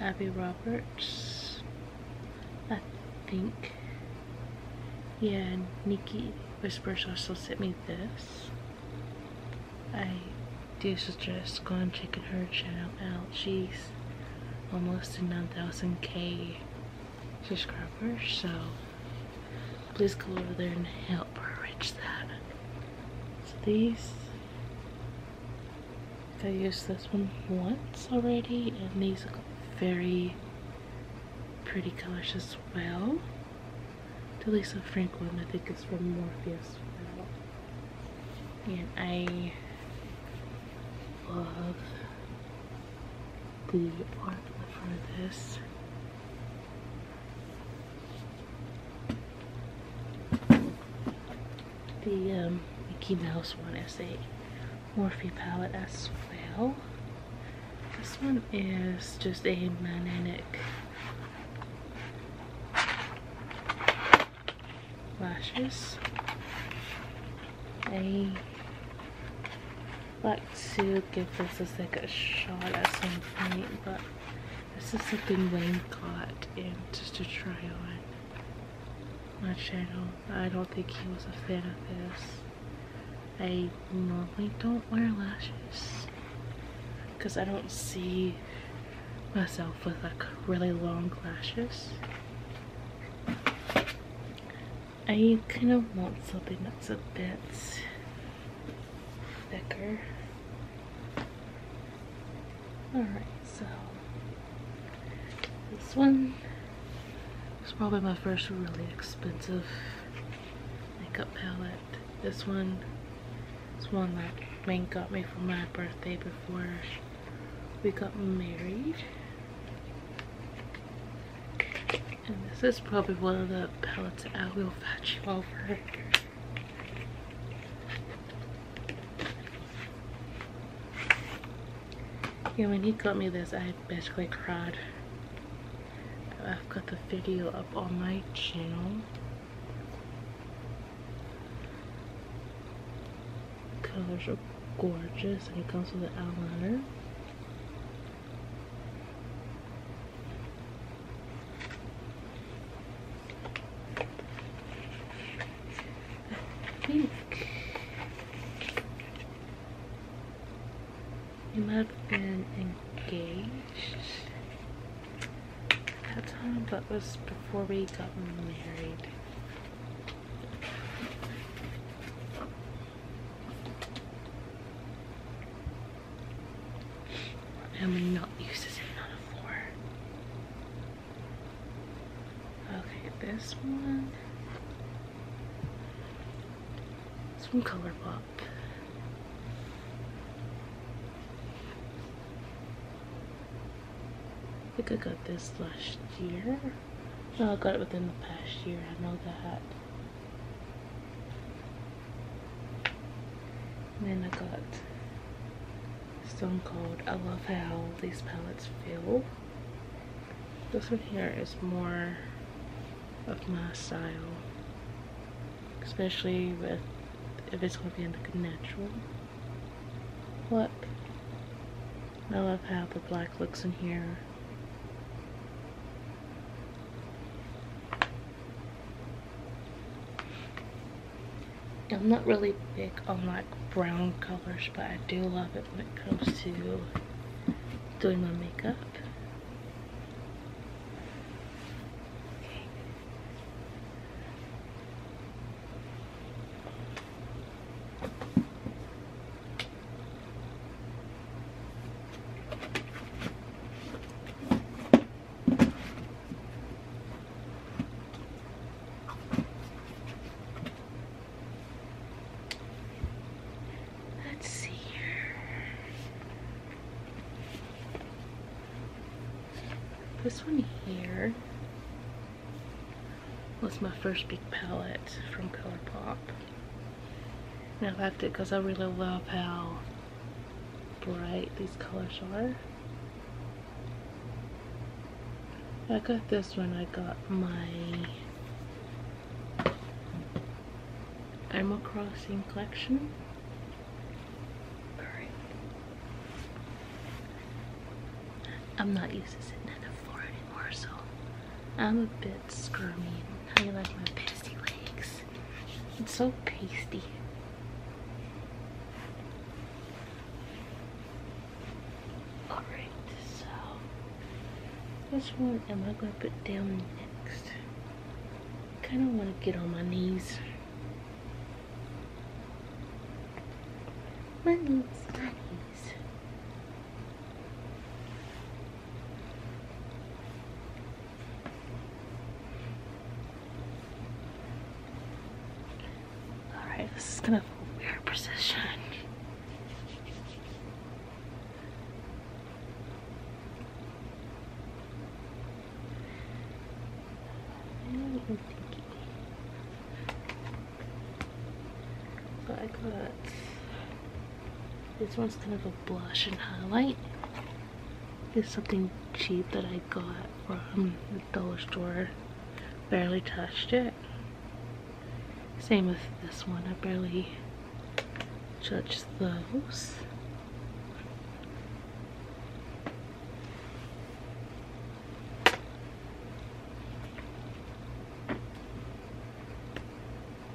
Abby Roberts. I think. Yeah, Nikki Whispers also sent me this. I do just gone checking her channel out. She's almost to 9,000k subscribers, so please go over there and help her reach that. So these, I used this one once already, and these are very pretty colors as well. Delisa Franklin, I think is from Morpheus well. And I love the front of this. The um, Mickey Mouse one is a Morphe palette as well. This one is just a manic lashes, a like to give this a second shot at some point, but this is something Wayne got and just to try on my channel. I don't think he was a fan of this. I normally don't wear lashes because I don't see myself with like really long lashes. I kind of want something that's a bit thicker. Alright, so this one it's probably my first really expensive makeup palette. This one is one that Ming got me for my birthday before we got married. And this is probably one of the palettes I will fetch you over. Yeah, when he got me this, I basically cried. I've got the video up on my channel. Colors are gorgeous and it comes with an eyeliner. I not been engaged. At that time, but was before we got married. I'm not used to sitting on a floor. Okay, this one. It's from Colourpop. I think I got this last year. No, I got it within the past year, I know that. then I got Stone Cold. I love how these palettes feel. This one here is more of my style, especially with if it's going to be like a natural look. I love how the black looks in here. I'm not really big on like brown colors, but I do love it when it comes to doing my makeup. Let's see This one here was my first big palette from ColourPop. And I liked it because I really love how bright these colors are. I got this one. I got my Animal Crossing collection. Alright. I'm not used to sitting on the floor anymore, so I'm a bit squirmy. How you like my pasty legs? It's so pasty. Alright, so which one am I going to put down next? I kind of want to get on my knees. My knees, my knees. Alright, this is going to feel weird position. I got this one's kind of a blush and highlight. It's something cheap that I got from the dollar store. Barely touched it. Same with this one. I barely judge those.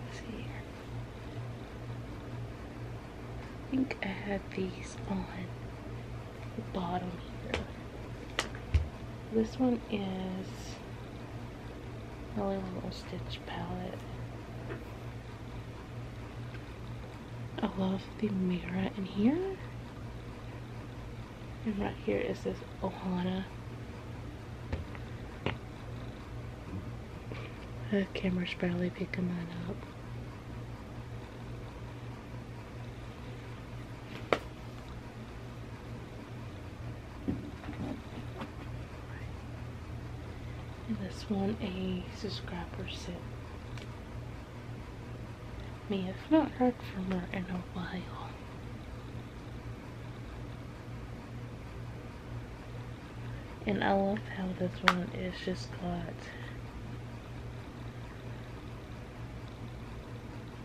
I think I have these on the bottom here. This one is Really little stitch palette. I love the mirror in here. And right here is this Ohana. The camera's barely picking that up. And this one a subscriber sent me. I've not heard from her in a while. And I love how this one is just got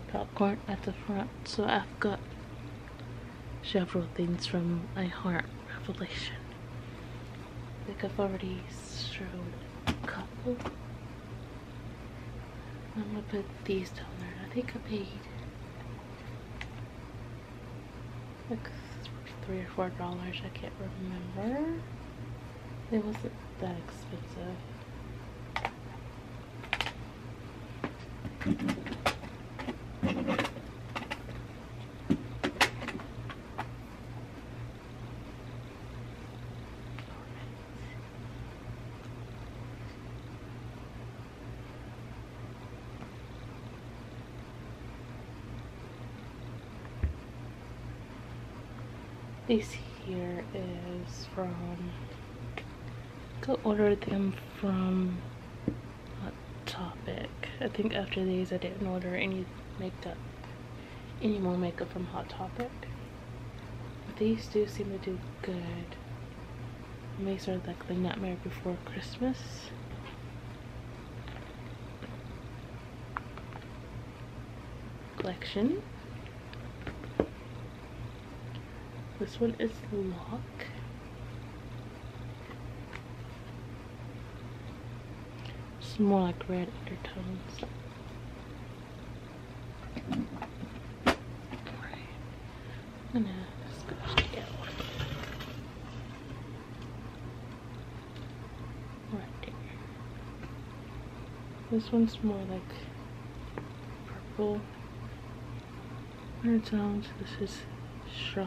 popcorn at the front. So I've got several things from my Heart Revelation. Like I've already showed a couple. I'm gonna put these down there. I think I paid like three or four dollars. I can't remember. It wasn't that expensive. This here is from, go order them from Topic. I think after these I didn't order any makeup, any more makeup from Hot Topic. these do seem to do good. And these are like the Nightmare Before Christmas. collection. This one is Lock. It's more like red undertones. Right. I'm gonna scotch down. Right there. This one's more like purple 100 sounds. This is shock.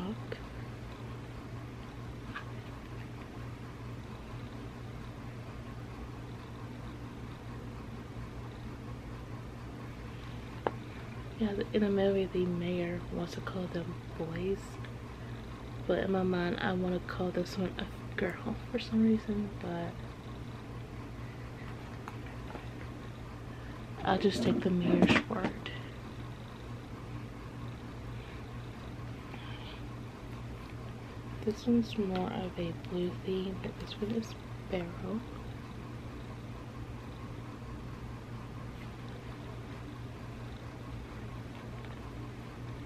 Yeah, in the movie, the mayor wants to call them boys, but in my mind, I want to call this one a girl for some reason, but I'll just take the mayor's word. This one's more of a blue theme, but this one is barrel.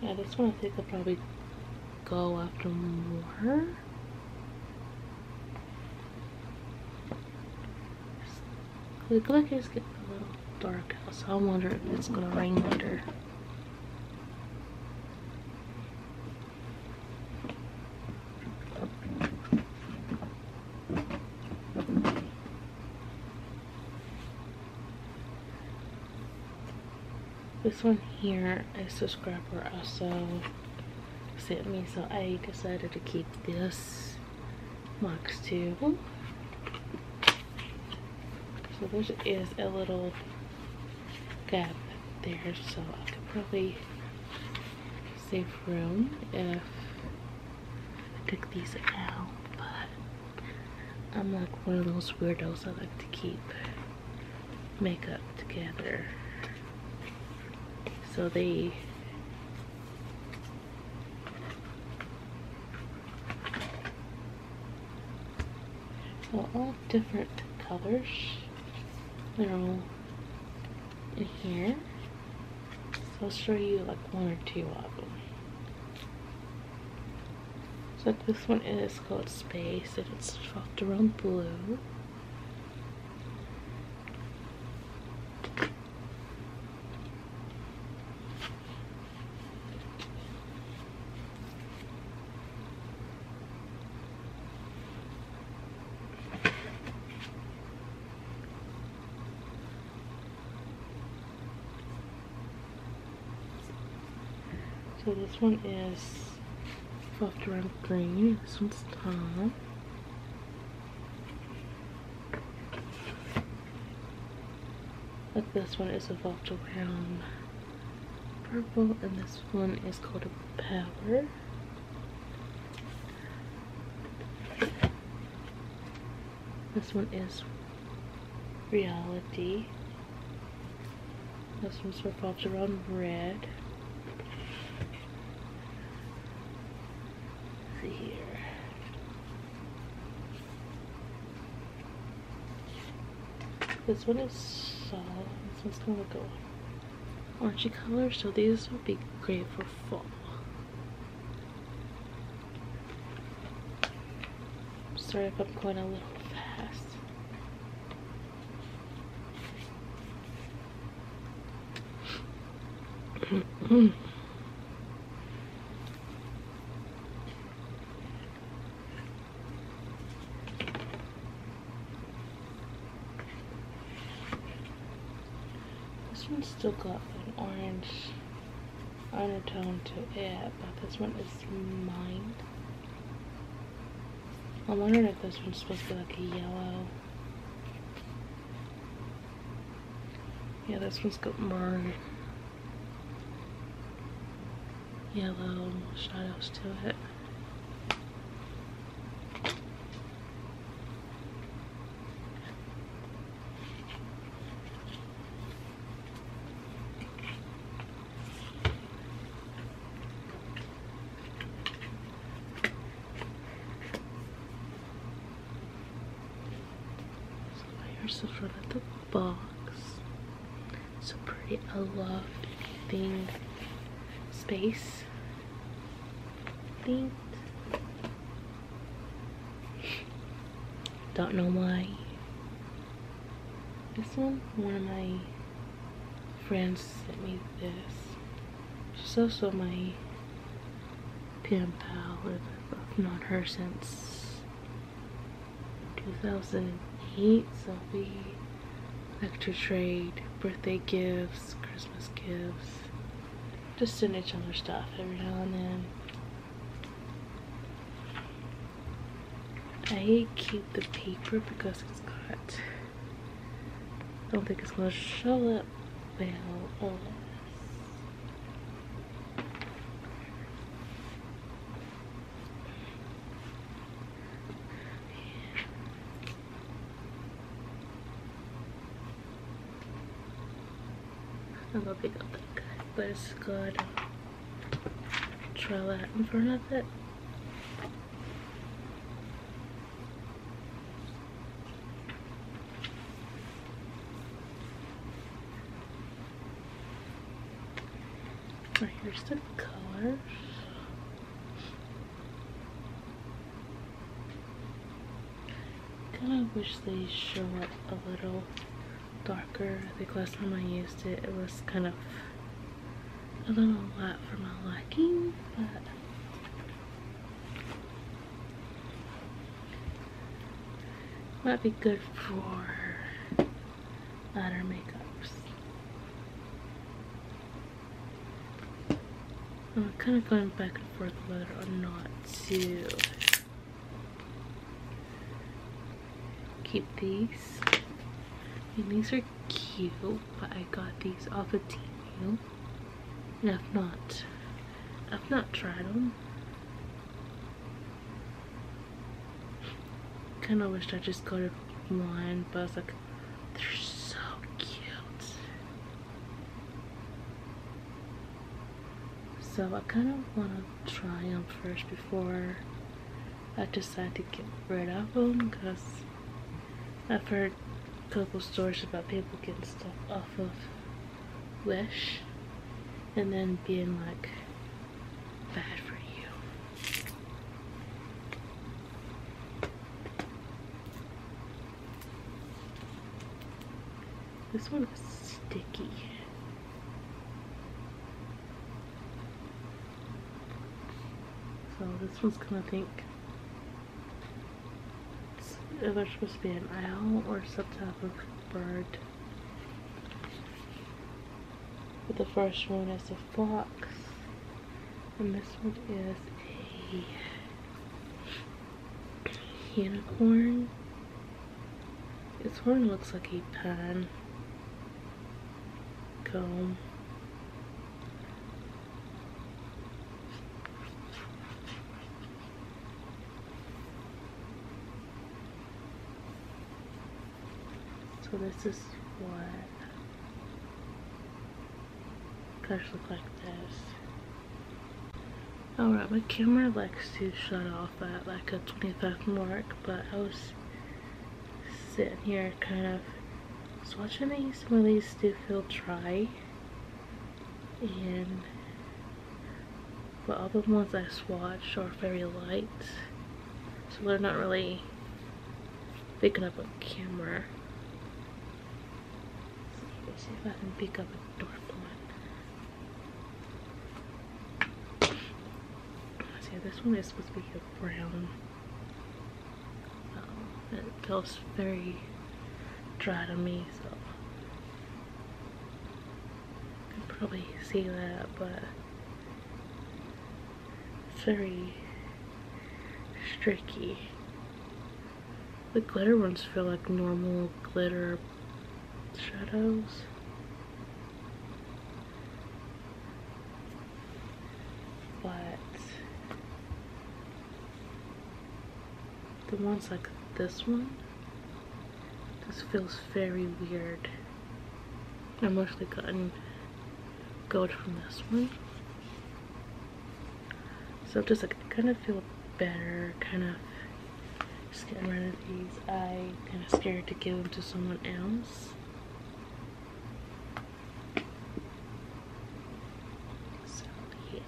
Yeah, this one I think I'll probably go after more. The it's getting a little dark out, so I wonder if it's gonna rain later. This one here, a subscriber also sent me, so I decided to keep this Mox 2. So there is a little gap there, so I could probably save room if I took these out, but I'm like one of those weirdos I like to keep makeup together. So they so all different colors. They're all in here. So I'll show you like one or two of them. So this one is called Space and it's wrapped around blue. So this one is soft ramp green. This one's tan. Like this one is evolved around purple and this one is called a power. This one is reality. This one's revolved around red. see here. This one is uh, solid. orangey color, so these would be great for fall. sorry if I'm going a little fast. This one's still got an orange undertone to it, but this one is mine. I'm wondering if this one's supposed to be like a yellow. Yeah, this one's got more yellow shadows to it. So there's the front of the box. So pretty. I love thing. space. Themed. Don't know why. This one, one of my friends sent me this. She's also my pen pal with. have known her since 2008. So we like to trade, birthday gifts, Christmas gifts. Just send each other stuff every now and then. I keep the paper because it's got. I don't think it's gonna show up well. Oh, I'm gonna pick up that guy, but it's good. Try that in front of it. Here's the colors. Kinda wish they show up a little darker. I think last time I used it, it was kind of a little light for my liking, might be good for other makeups. I'm kind of going back and forth whether or not to keep these. I these are cute, but I got these off of Temu. And if not, I've not tried them. Kind of wish I just got it one, but I was like, they're so cute. So I kind of want to try them first before I decide to get rid of them because I've heard a couple stories about people getting stuck of Wish and then being like, bad for you. This one was sticky. So this one's gonna think it's either supposed to be an owl or some type of bird. the first one is a fox. And this one is a unicorn. Its horn looks like a pen comb. So this is what cars look like this. Alright, my camera likes to shut off at like a 25 mark, but I was sitting here kind of just watching these. Some of these do feel dry. And but all the ones I swatched are very light so they're not really picking up on camera Let's see if I can pick up a dark one see this one is supposed to be a brown um, it feels very dry to me so you can probably see that, but it's very streaky. The glitter ones feel like normal glitter shadows. But the ones like this one this feels very weird. I've mostly gotten gold from this one. So just like kind of feel better, kind of just getting rid of these. I kind of scared to give them to someone else. So yeah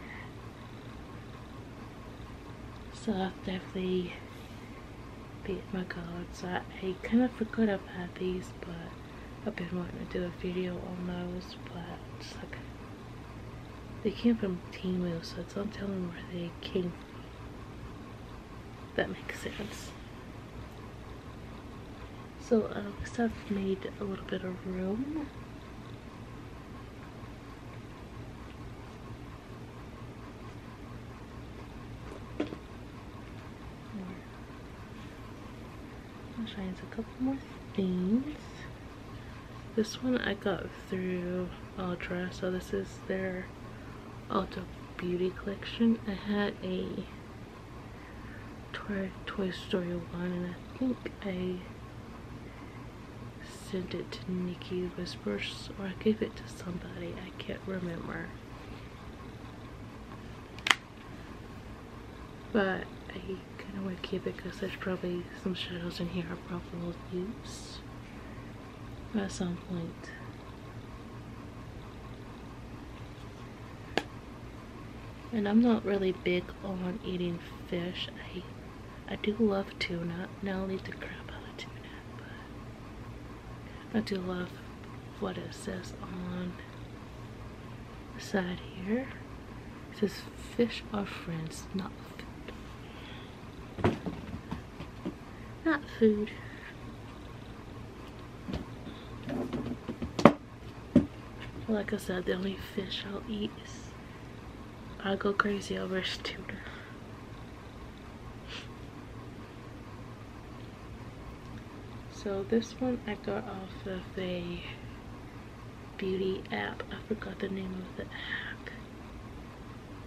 so I've definitely beat my goals. I, I kind of forgot i had these, but I've been wanting to do a video on those, but they came from Teen Wheel, so it's not telling where they came from. That makes sense. So at uh, um, I've made a little bit of room. I'll try a couple more things. This one I got through Ultra, so this is their Ultra Beauty collection. I had a Toy, Toy Story 1 and I think I Send it to Nikki Whispers or I gave it to somebody. I can't remember. But I kind of want to keep it because there's probably some shadows in here I probably will use at some point. And I'm not really big on eating fish. I do love tuna. Now I'll eat the crap out of tuna, but I do love what it says on the side here. It says fish are friends, not food. Not food. Like I said, the only fish I'll eat is I go crazy over tuna. So this one I got off of a beauty app. I forgot the name of the app.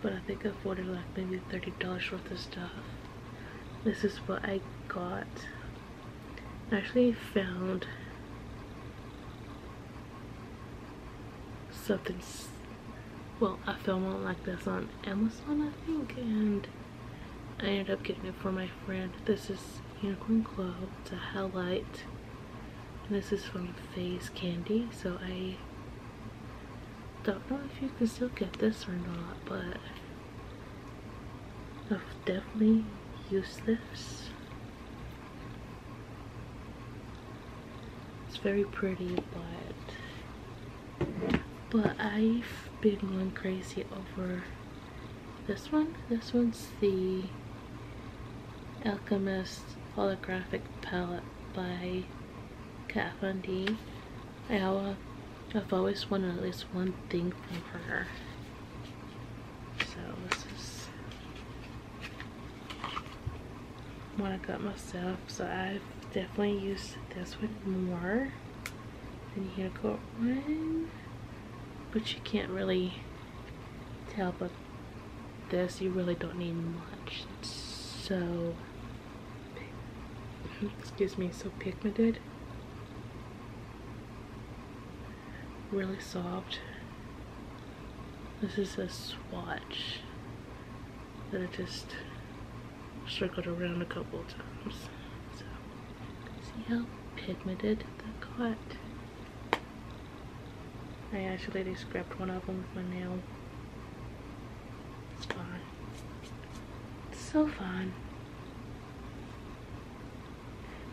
But I think I ordered like maybe $30 worth of stuff. This is what I got. I actually found something well I film on like this on Amazon I think and I ended up getting it for my friend this is Unicorn Glow it's a highlight this is from Phase Candy so I don't know if you can still get this or not but I've definitely used this it's very pretty, but but I've been going crazy over this one. This one's the Alchemist Holographic Palette by Kat Von D. I, I've always wanted at least one thing from her. So this is when I cut myself. So I've definitely used this one more than Unicorn one. But you can't really tell but this you really don't need much. It's so excuse me, so pigmented. Really soft. This is a swatch that I just circled around a couple times. So, see how pigmented that got? I actually they scrapped one of them with my nail. It's fine. It's so fun.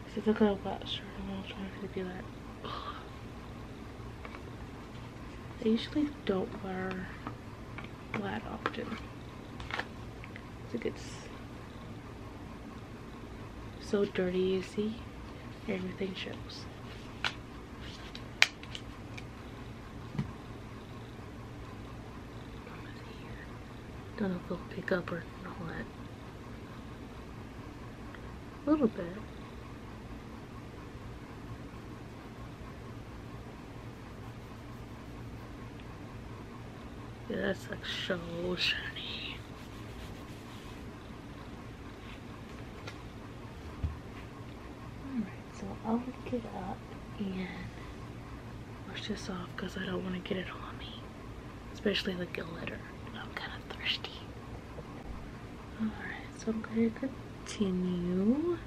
This is like a wet shirt. I'm trying to be like, oh, I usually don't wear that often. It gets so dirty, you see? Everything shows. Don't know if it'll pick up or all A little bit. Yeah, that's like so shiny. Alright, so I'll get it up and wash this off because I don't want to get it on me. Especially the glitter. I'm kind of thirsty. Alright, so I'm going to continue.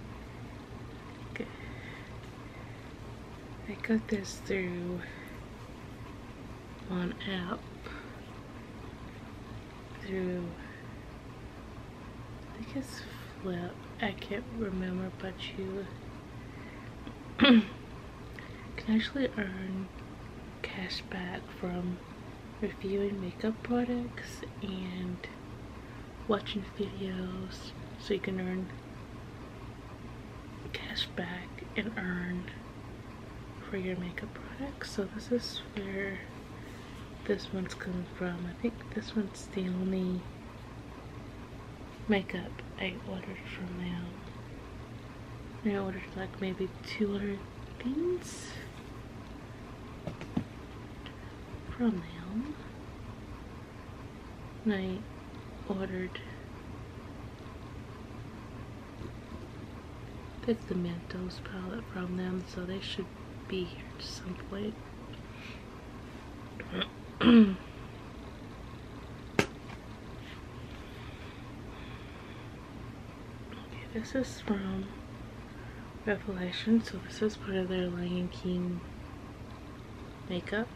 I got this through on app through I think flip I can't remember but you can actually earn cash back from reviewing makeup products and watching videos so you can earn cash back and earn for your makeup products. So this is where this one's coming from. I think this one's the only makeup I ordered from them. I ordered like maybe 200 things from them. And I ordered picked the Mentos palette from them, so they should be here at some point. okay, this is from Revelation. So this is part of their Lion King makeup.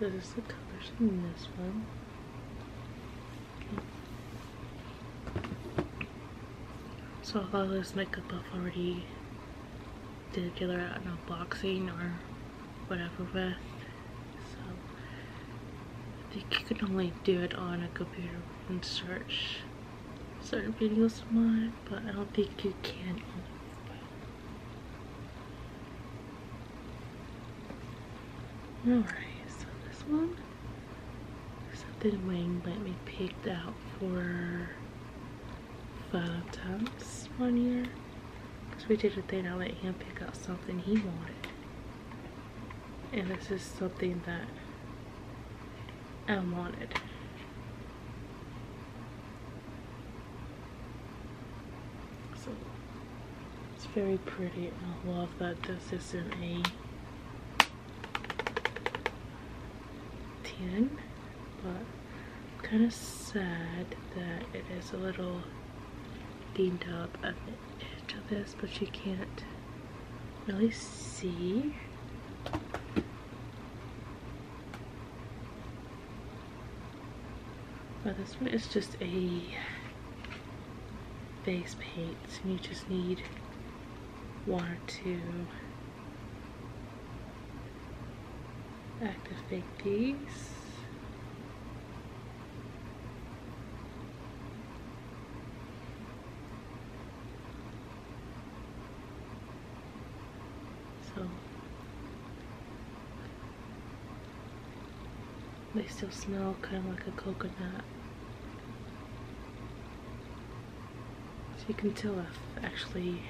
this is the colors in this one. So I thought this makeup buff already did a dealer out in boxing or whatever with. So I think you can only do it on a computer and search certain videos online, but I don't think you can on Alright, so this one, something Wayne let me pick out for five times one year. Because we did a thing, I let him pick out something he wanted and this is something that I wanted. So it's very pretty. I love that this isn't a 10, but kind of sad that it is a little beamed up at the edge of this, but you can't really see. But this one is just a base paint, so you just need one or two Active activate these. So they still smell kind of like a coconut. So you can tell I've actually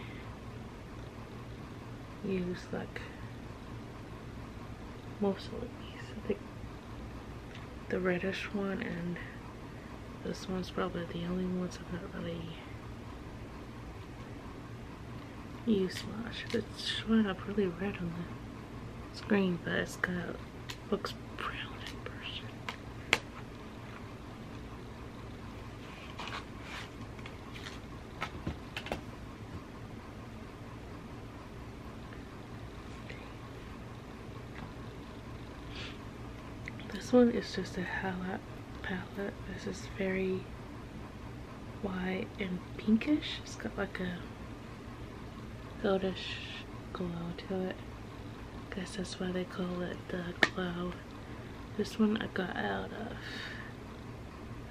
used like mostly these. I the reddish one and this one's probably the only ones I've not really used much. It's showing up really red on the screen, but it's got looks brown in person. This one is just a highlight palette. This is very white and pinkish. It's got like a goldish glow to it. I guess that's why they call it the glow. This one I got out of,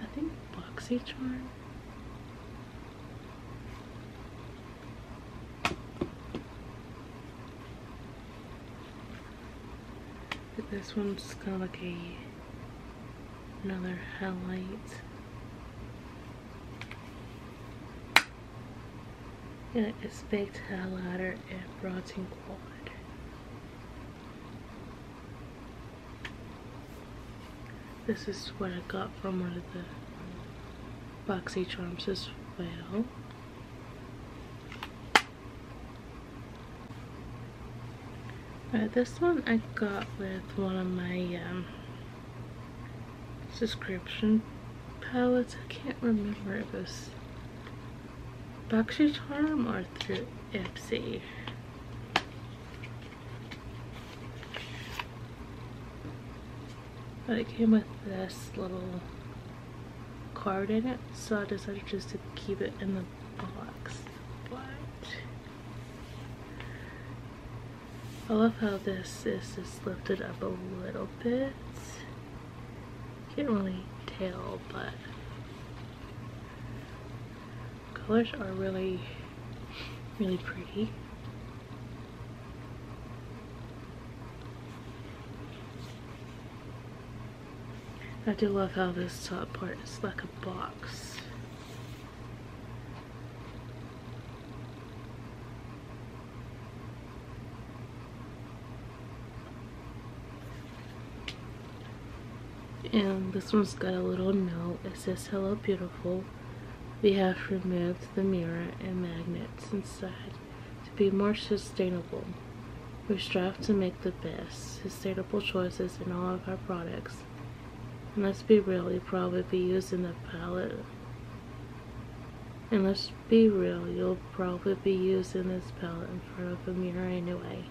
I think, BoxyCharm. This one's kind of like a another highlight. Yeah, it's baked highlighter and bronzing quad. This is what I got from one of the boxy charms as well. this one I got with one of my um, subscription palettes. I can't remember if it was boxy charm or through Ipsy. But it came with this little card in it, so I decided just to keep it in the box. But I love how this is just lifted up a little bit. Can't really tell, but colors are really, really pretty. I do love how this top part is like a box. And this one's got a little note. It says, hello beautiful. We have removed the mirror and magnets inside to be more sustainable. We strive to make the best, sustainable choices in all of our products. And let's be real, you'll probably be using the palette. And let's be real, you'll probably be using this palette in front of a mirror anyway.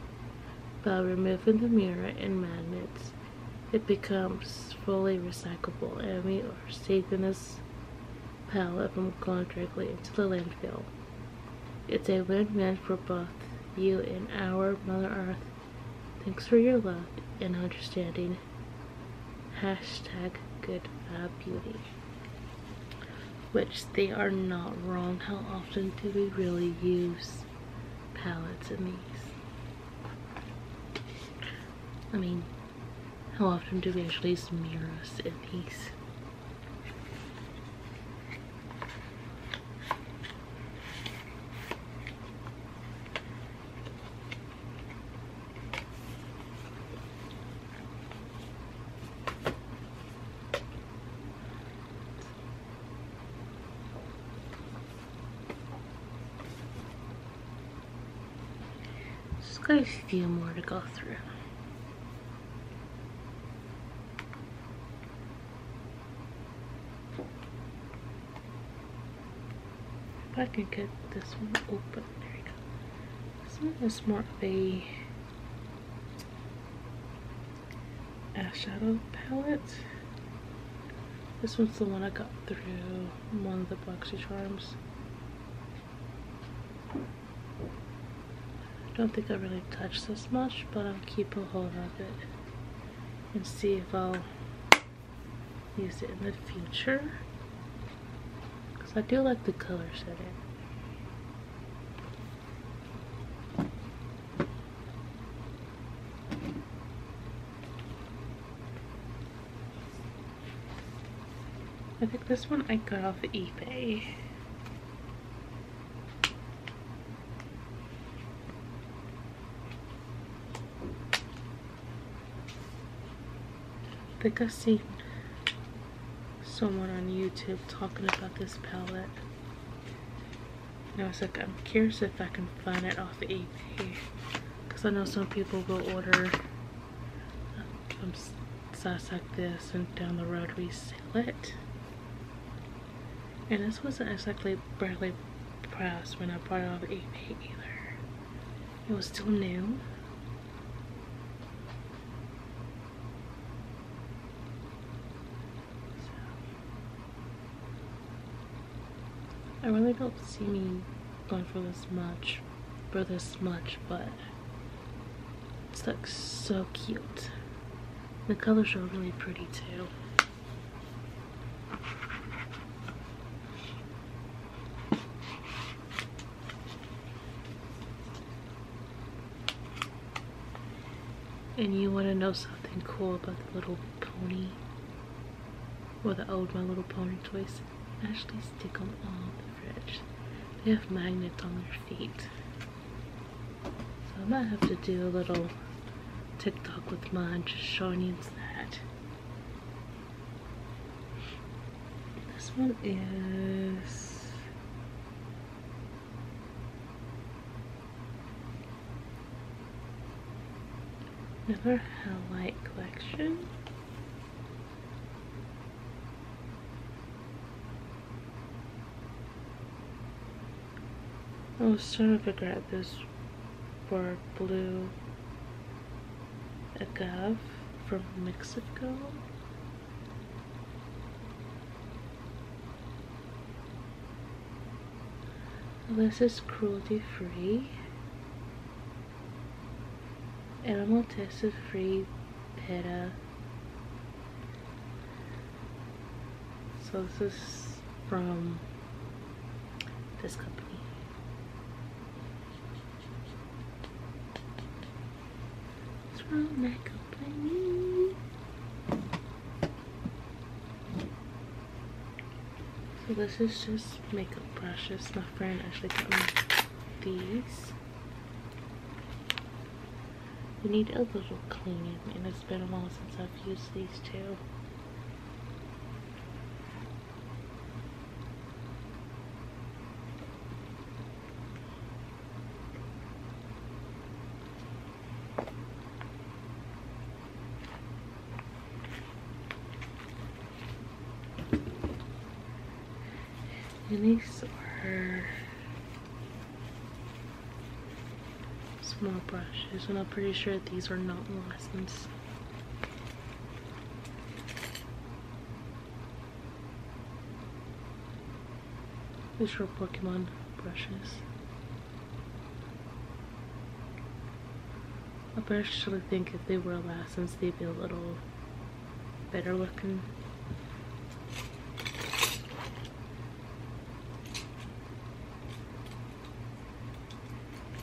By removing the mirror and magnets, it becomes fully recyclable and we are saving us pile of them going directly into the landfill. It's a win-win for both you and our Mother Earth. Thanks for your love and understanding. Hashtag good beauty. Which they are not wrong. How often do we really use palettes and these? I mean, how often do we actually smear us in these? Just got a few more to go through. If I can get this one open, there we go. This one is more of a eyeshadow palette. This one's the one I got through one of the Boxy Charms. I don't think I really touched this much, but I'll keep a hold of it and see if I'll use it in the future. Because I do like the color setting. I think this one I got off of eBay. I think i see someone on YouTube talking about this palette. And I was like, I'm curious if I can find it off of eBay. Because I know some people will order um, size like this and down the road we sell it. And this wasn't exactly Bradley Price when I bought it off eBay either. It was still new. I really don't see me going for this much, for this much, but it's like so cute. The colors are really pretty too. And you want to know something cool about the little pony? Or the old My Little Pony toys? actually stick on all the fridge. They have magnets on their feet. So I might have to do a little TikTok with mine just showing you that. This one is another highlight collection. I was trying to figure out this for blue agave from Mexico. This is cruelty free Animal tested free PETA. So this is from this company. It's from that company. So this is just makeup brushes. My friend actually got me these. We need a little cleaning, and it's been a while since I've used these too. And these are small brushes, I'm pretty sure these are not licensed. These are Pokemon brushes. I personally think if they were licensed, they'd be a little better looking.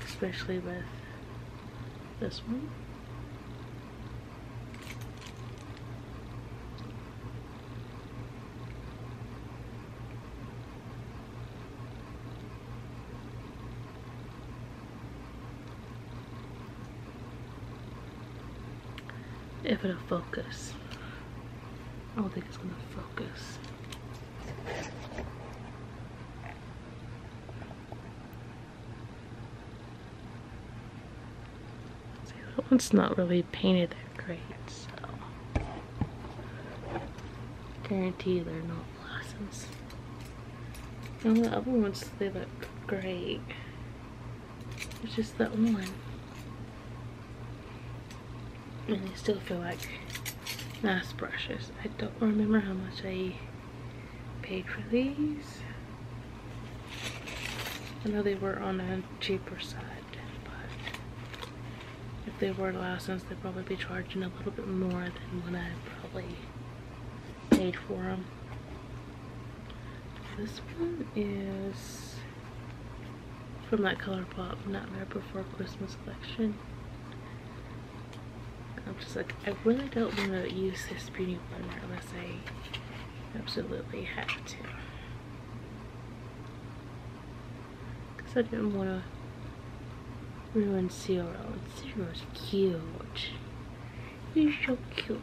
Especially with this one. If it'll focus. I don't think it's gonna focus. that one's not really painted that great, so. Guarantee they are not blossoms. And the other ones, they look great. It's just that one. And they still feel like nice brushes. I don't remember how much I paid for these. I know they were on a cheaper side, but if they were licensed, they'd probably be charging a little bit more than what I probably paid for them. This one is from that color pop, not Nightmare Before Christmas collection. I'm just like, I really don't want to use this beauty blender unless I absolutely have to. Because I didn't want to ruin Zero. was cute. You're so cute.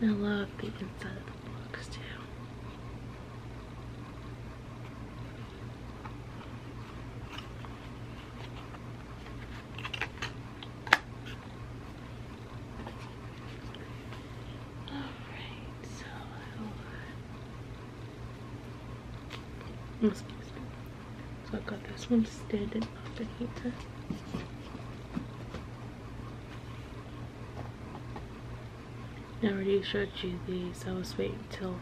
I love the inside of the box too. Alright, so I got this one standing up in here. I already showed you these. I was waiting till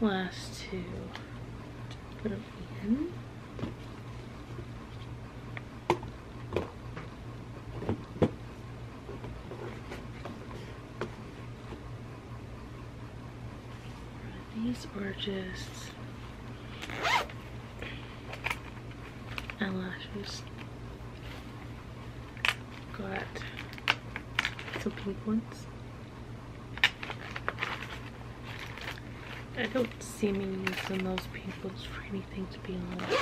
last to put them in. These are just eyelashes. Got some pink ones. I don't see me using those pink ones for anything to be honest.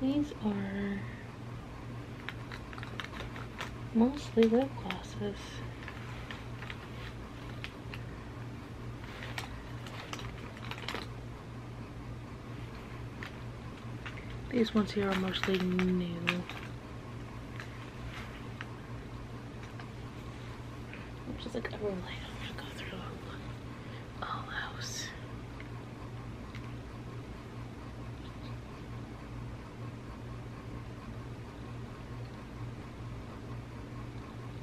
These are mostly lip glosses. These ones here are mostly new. just like, I really do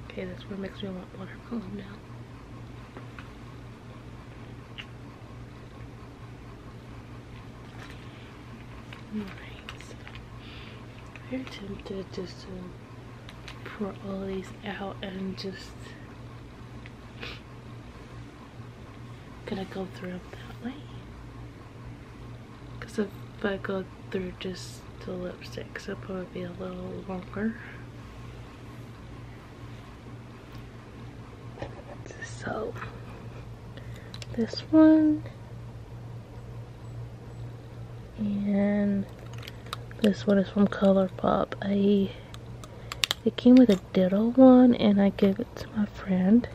Okay, that's what makes me want watermelon now. Alright, so very tempted to um, pour all these out and just gonna go through them that way because if I go through just the so it'll probably be a little longer so this one and this one is from Colourpop. I it came with a Ditto one and I gave it to my friend.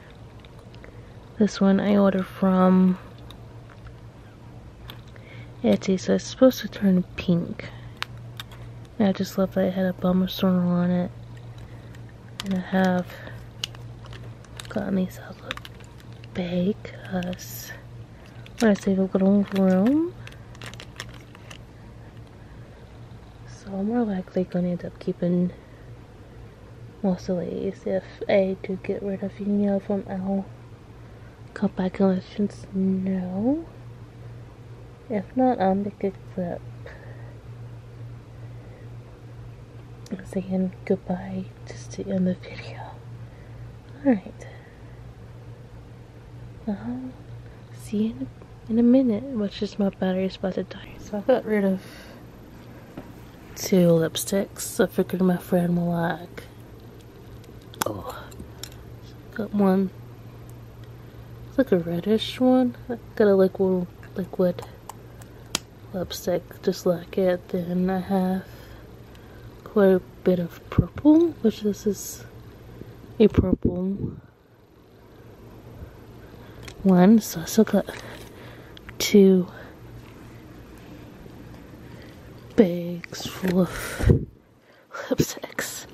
This one I ordered from Etsy, so it's supposed to turn pink. I just love that it had a bummer swinger on it. And I have gotten these out bake because Let's leave a little room. So I'm more likely going to end up keeping most of these if A, to get rid of Union from L, cut back collections, no. If not, I'll am make a clip. Saying goodbye just to end the video. Alright. Uh-huh. See in a, minute, which is my battery's about to die. So I got rid of two lipsticks. I figured my friend will like. Oh, got one. It's like a reddish one. got a liquid liquid lipstick just like it. Then I have quite a bit of purple, which this is a purple one. So I still got two bags full of lipsticks.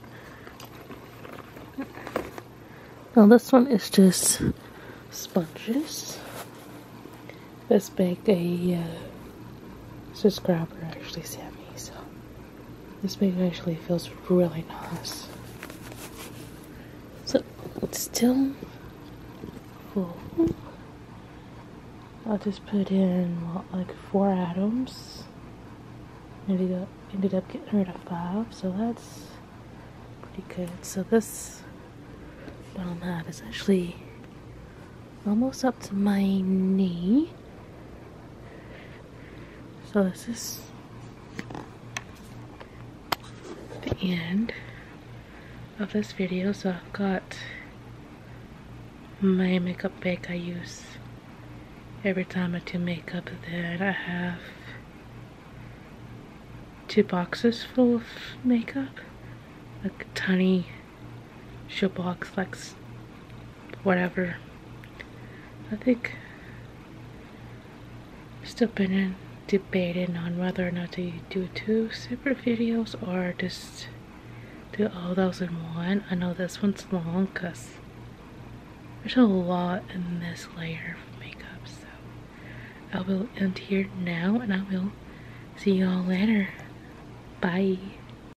Now this one is just sponges. This bag a uh, subscriber actually sent me, so this bag actually feels really nice. So it's still full. I just put in like four atoms. Ended up ended up getting rid of five, so that's pretty good. So this bottom half is actually almost up to my knee. So this is the end of this video. So I've got my makeup bag I use every time I do makeup. Then I have two boxes full of makeup. Like tiny Shablox Flex, whatever. I think still been in debating on whether or not to do two separate videos or just do all those in one. I know this one's long because there's a lot in this layer of makeup. So I will end here now and I will see y'all later. Bye.